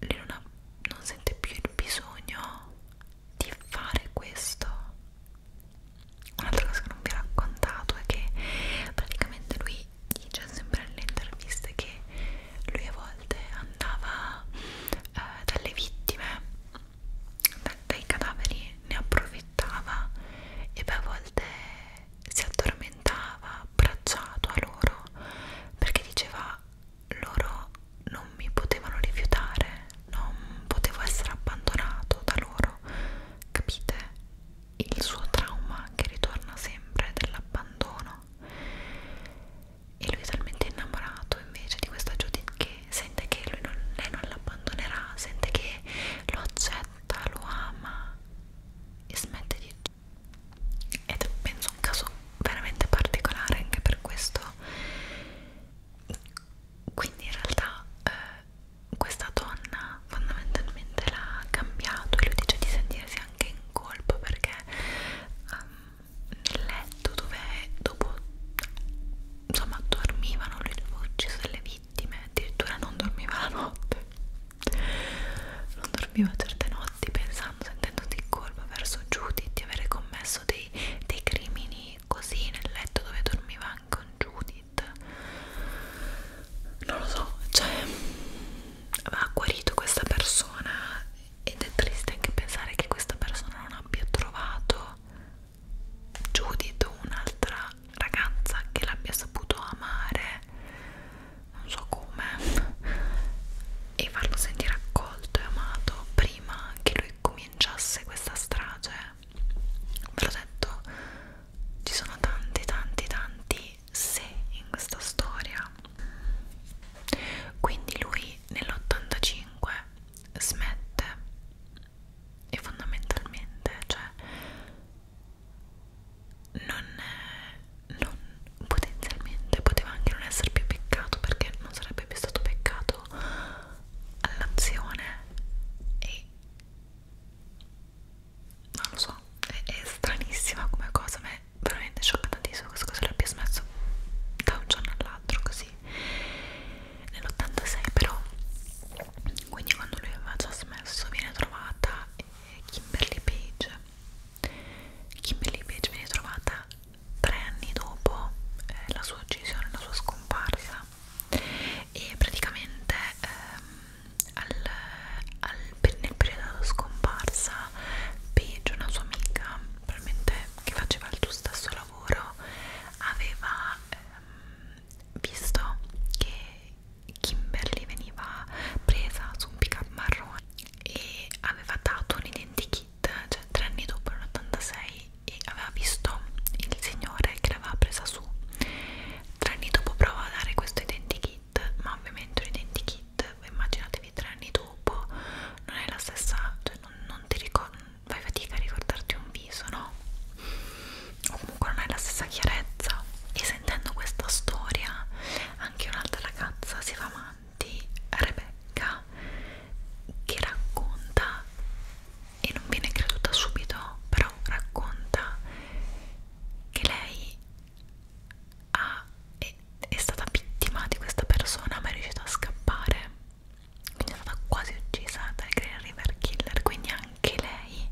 lei non, ha, non sente più il bisogno di fare questo un'altra cosa che non vi ho raccontato è che praticamente lui dice sempre nelle interviste che lui a volte andava eh, dalle vittime da, dai cadaveri ne approfittava e poi a volte si addormentava abbracciato a loro perché diceva loro non mi potevano rifiutare, non potevo essere abbandonato da loro, capite? Il suo trauma che ritorna sempre dell'abbandono. E lui è talmente innamorato invece di questa Judith che sente che lui non, lei non l'abbandonerà, sente che lo accetta, lo ama e smette di ed è penso un caso veramente particolare anche per questo quindi in realtà eh, questa donna fondamentalmente l'ha cambiato e lui dice di sentirsi anche in colpa perché um, nel letto dove dopo insomma dormivano lui aveva ucciso le vittime addirittura non dormiva la notte non dormivo a certe notti pensando, sentendoti in colpa verso Judy di avere commesso dei, dei crimini così nel letto dove dormiva anche con Judith non lo so cioè ha guarito questa persona ed è triste anche pensare che questa persona non abbia trovato Judith un'altra ragazza che l'abbia saputo amare non so come e farlo sentire accolto e amato prima che lui cominciasse questa strage ve l'ho detto ci sono tanti tanti tanti se in questa storia quindi lui nell'85 smette e fondamentalmente cioè non, non potenzialmente poteva anche non essere più peccato perché non sarebbe più stato peccato all'azione e non lo so è, è stranissima come cosa ma è veramente scioccantissimo questa cosa l'ha più smesso da un giorno all'altro così nell'86 però quindi quando lui aveva già smesso viene trovata eh, Kimberly Page Kimberly Page viene trovata tre anni dopo eh, la sua uccisione, la sua scomparsa e praticamente ehm, al, al, nel periodo della scomparsa Page, una sua amica probabilmente che faceva il suo stesso lavoro aveva ehm, visto che Kimberly veniva presa su un pick up marrone e aveva dato un identikit, cioè tre anni dopo, nell'86, e aveva visto il signore che l'aveva presa su. Tre anni dopo prova a dare questo identikit, ma ovviamente un identikit, immaginatevi tre anni dopo, non è la stessa, cioè non, non ti ricordi, fai fatica a ricordarti un viso, no? O comunque non è la stessa chiarezza. E sentendo questa storia, anche un'altra ragazza si fa male di Rebecca che racconta e non viene creduta subito però racconta che lei ha, è, è stata vittima di questa persona ma è riuscita a scappare quindi è stata quasi uccisa dal Green River Killer quindi anche lei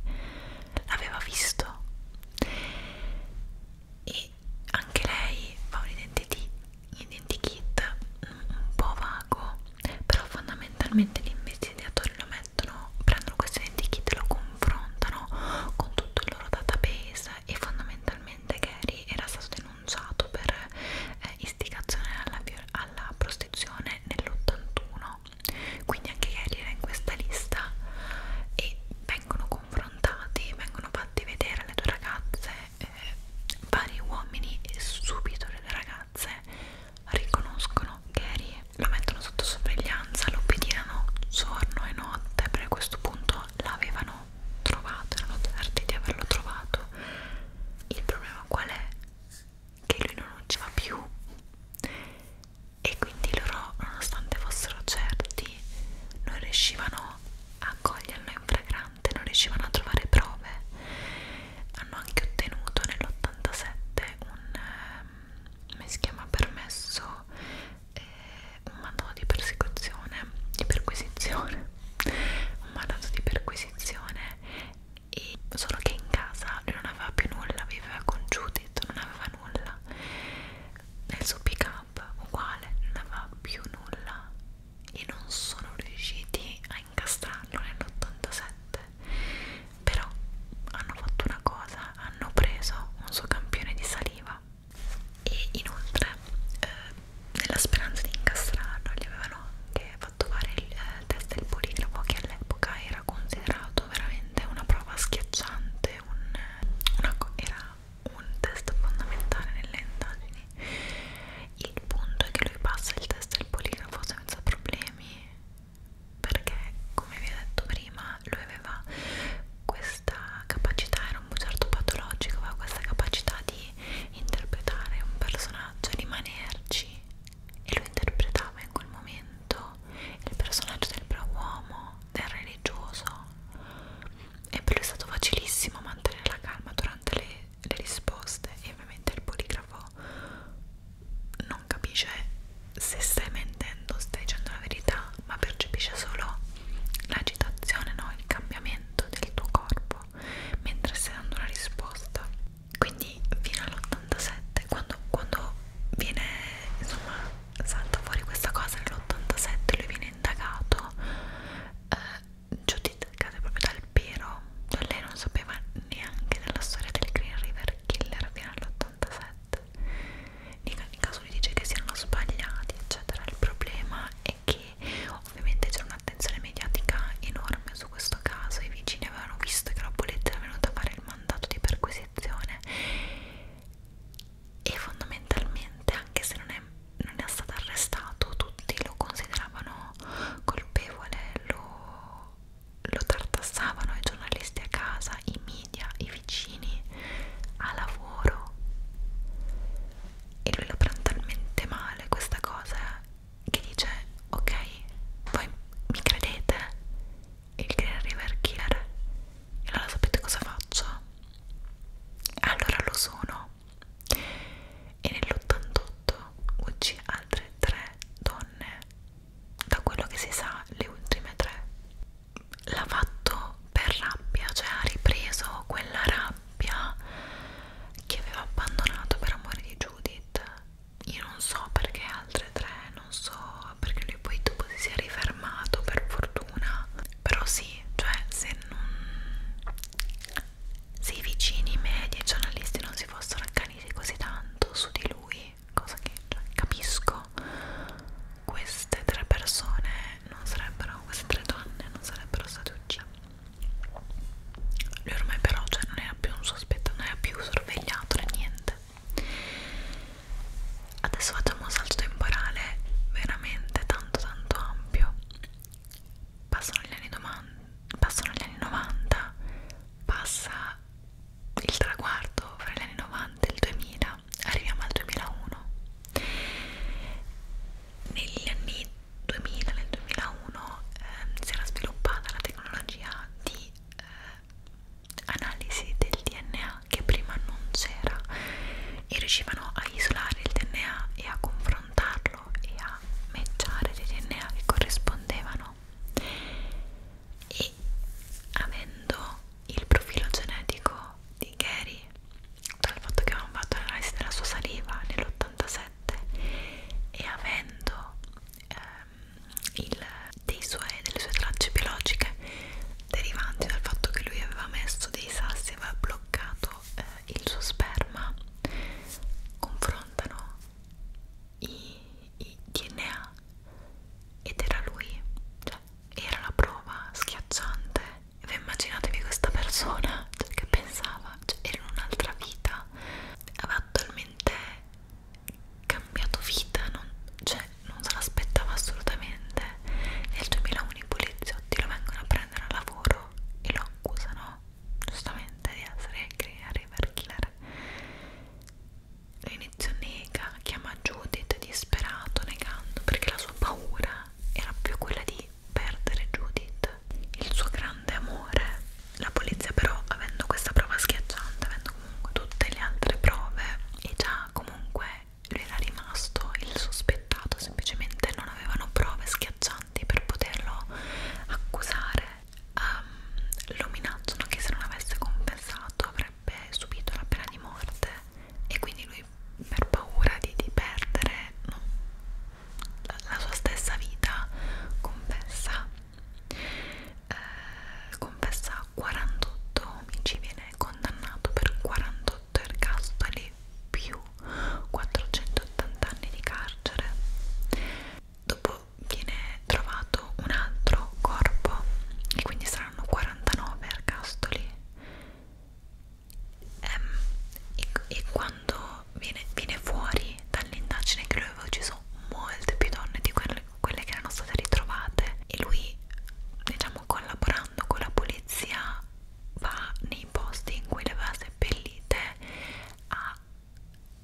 l'aveva visto e anche lei fa un identity, identikit mm, un po' vago però fondamentalmente gli investigatori lo mettono prendono questo identikit lo confrontano con tutto il loro database e fondamentalmente Gary era stato denunciato per eh, istigazione alla, alla prostituzione nell'81 quindi anche Gary era in questa lista e vengono confrontati, vengono fatti vedere alle due ragazze eh, vari uomini e subito le due ragazze riconoscono Gary, lo mettono sotto sorveglianza, lo pedinano giorno e notte perché a questo punto l'avevano trovato, erano certi di averlo trovato. Il problema qual è? Che lui non ucciva più e quindi loro, nonostante fossero certi, non riuscivano a coglierlo in fragrante, non riuscivano a trovare prove. Hanno anche ottenuto nell'87 un eh, come si chiama permesso eh, un mandato di persecuzione, di perquisizione, un mandato di perquisizione e solo che in casa lui non aveva più nulla, viveva con Judith, non aveva nulla nel suo pick up uguale non aveva più nulla e non sono riusciti a incastrarlo nell'87 però hanno fatto una cosa hanno preso un suo campione di saliva e inoltre eh, nella speranza di incastrarlo gli avevano anche fatto fare il eh, test del poligrafo che all'epoca era considerato veramente una prova schiacciante un, una, era un test fondamentale nelle indagini il punto è che lui passa il test del poligrafo senza problemi perché come vi ho detto prima lui aveva questa capacità era un bugiardo patologico aveva questa capacità di interpretare un personaggio rimanerci e lo interpretava in quel momento il personaggio del bravo uomo del religioso e per lui è stato facilissimo mantenere la calma durante le, le risposte e ovviamente il poligrafo non capisce se stai mentendo, stai dicendo la verità, ma percepisce solo l'agitazione, no? il cambiamento del tuo corpo mentre stai dando una risposta. Quindi fino all'87, quando, quando viene insomma salta fuori questa cosa nell'87 lui viene indagato eh, giudicato proprio dal Piro cioè lei non sapeva neanche della storia del Green River Killer fino all'87 nei caso lui dice che si erano sbagliati eccetera il problema è che ovviamente c'era un'attenzione mediatica enorme su questo caso i vicini avevano visto che la polizia era venuta a fare il mandato di perquisizione e fondamentalmente anche se non è, non è stato arrestato tutti lo consideravano colpevole lo, lo tartassavano i giornalisti a casa i media, i vicini a lavoro e lui la prende talmente male questa cosa che dice ok voi mi credete il Green River Killer allora sapete cosa faccio? Allora lo sono. E nell'88 uccì altre tre donne. Da quello che si sa, le ultime tre. L'ha fatto per rabbia, cioè ha ripreso quella rabbia che aveva abbandonato per amore di Judith. Io non so perché altre tre, non so perché lui poi dopo si sia rifermato per fortuna però sì, cioè se non se i vicini, i media, i giornalisti non si fossero accaniti così tanto su di lui, cosa che cioè, capisco, queste tre persone non sarebbero, queste tre donne non sarebbero state uccise. Lui ormai però cioè, non era più un sospetto, non era più sorvegliato né niente. Adesso facciamo un salto temporale veramente tanto tanto tanto ampio passano gli anni, passano gli anni 90 passa il traguardo fra gli anni 90 e il 2000 arriviamo al 2001 negli anni 2000 nel 2001 eh, si era sviluppata la tecnologia di eh, analisi del DNA che prima non c'era e riuscivano a isolare il DNA e a confrontarlo e a matchare dei DNA che corrispondevano e avendo il profilo genetico di Gary dal fatto che avevano fatto l'analisi della sua saliva nell'87 e avendo ehm, il, dei sue, delle sue tracce biologiche derivanti dal fatto che lui aveva messo dei sassi e aveva bloccato appunto eh, il suo sperma confrontano i, i DNA ed era lui, cioè era la prova schiacciante. E voi immaginatevi questa persona cioè, che pensava, cioè, era in un'altra vita, aveva totalmente cambiato vita, non, cioè non se l'aspettava assolutamente. Nel 2001 i poliziotti lo vengono a prendere prendere a lavoro e lo accusano giustamente di essere caregiver killer all'inizio nega, chiama Judith disperato negando perché la sua paura era più quella di perdere Judith il suo grande amore la polizia però avendo questa prova schiacciante avendo comunque tutte le altre prove e già comunque lui era rimasto il sospettato, semplicemente non avevano prove schiaccianti per poterlo accusare. Um, ehm, lo minacciano che se non avesse confessato avrebbe subito la pena di morte e quindi lui per paura di, di perdere no, la, la sua stessa vita confessa eh, confessa 48 omicidi viene condannato per 48 sotto ergastoli più 480 anni di carcere. Dopo viene trovato un altro corpo e quindi saranno 49 ergastoli. Ehm, e, e quando viene, viene fuori dall'indagine che lui aveva ucciso molte più donne di quelle, quelle che erano state ritrovate e lui diciamo collaborando parlando con la polizia va nei posti in cui le aveva seppellite a,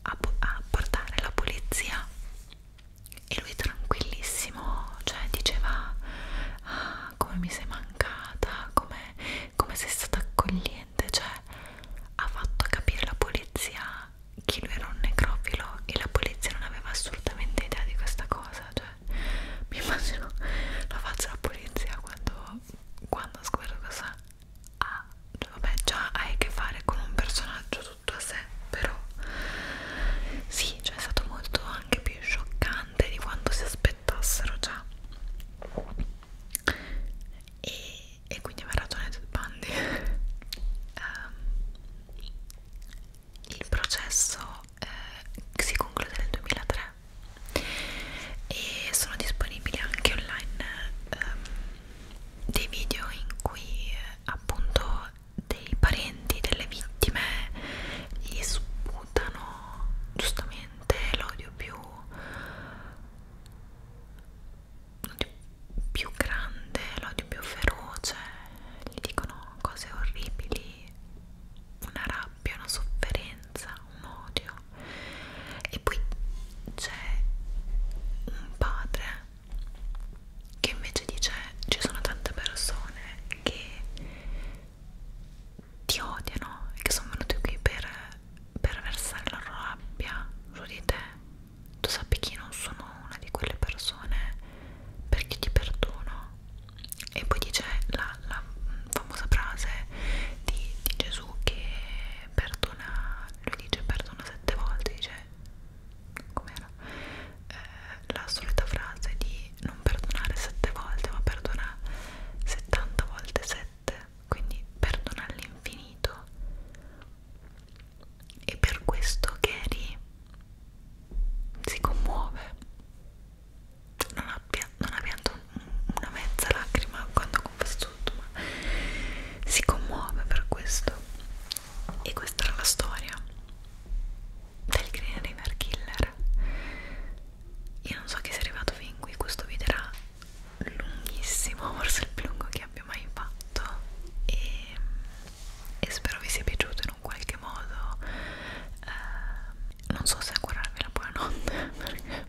a, a portare la polizia e lui tranquillissimo cioè diceva ah, come mi sei mancata come, come sei stata accogliente cioè ha fatto capire alla polizia che lui era un necrofilo e la polizia non aveva assolutamente idea di questa cosa cioè mi immagino la faccia della polizia quando, quando sguardo cosa ha cioè, vabbè già hai a che fare con un personaggio tutto a sé però sì cioè è stato molto anche più scioccante di quanto si aspettassero già e, e quindi aveva ragione Ted Bundy um, il processo eh, si conclude nel 2003 e sono disponibili anche online ehm, dei video in cui eh, appunto dei parenti delle vittime gli sputano giustamente l'odio più l'odio più grande, l'odio più feroce, gli dicono cose orribili, una rabbia, una sofferenza un odio e poi c'è un padre che invece dice ci sono tante persone che ti odiano e che sono venute qui per, per versare la loro rabbia su di te tu sappi che io non sono una di quelle persone perché ti perdono e poi dice la, la famosa frase di, di Gesù che perdona, lui dice perdona sette volte, dice com'era? Eh, la solita frase di non perdonare sette volte ma perdona 70 volte 7, quindi perdona all'infinito. E per questo Gary si commuove non abbia, non abbia una mezza lacrima quando confessa tutto, ma si commuove per questo. E questa era la storia del Green River Killer. Io non so chi sia arrivato fin qui, questo video era lunghissimo, forse il più lungo che abbia mai fatto e, e spero vi sia piaciuto in un qualche modo. Eh, non so se augurarvi la buonanotte perché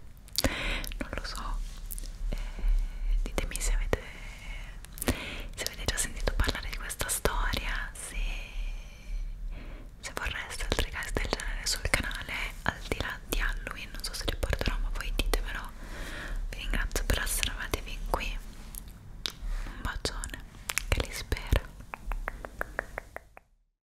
non lo so e eh, ditemi se avete se avete già sentito parlare di questa storia se, se vorreste altri casi del genere sul canale al di là di Halloween non so se li porterò ma voi ditemelo vi ringrazio per essere arrivati fin qui un bacione che li spera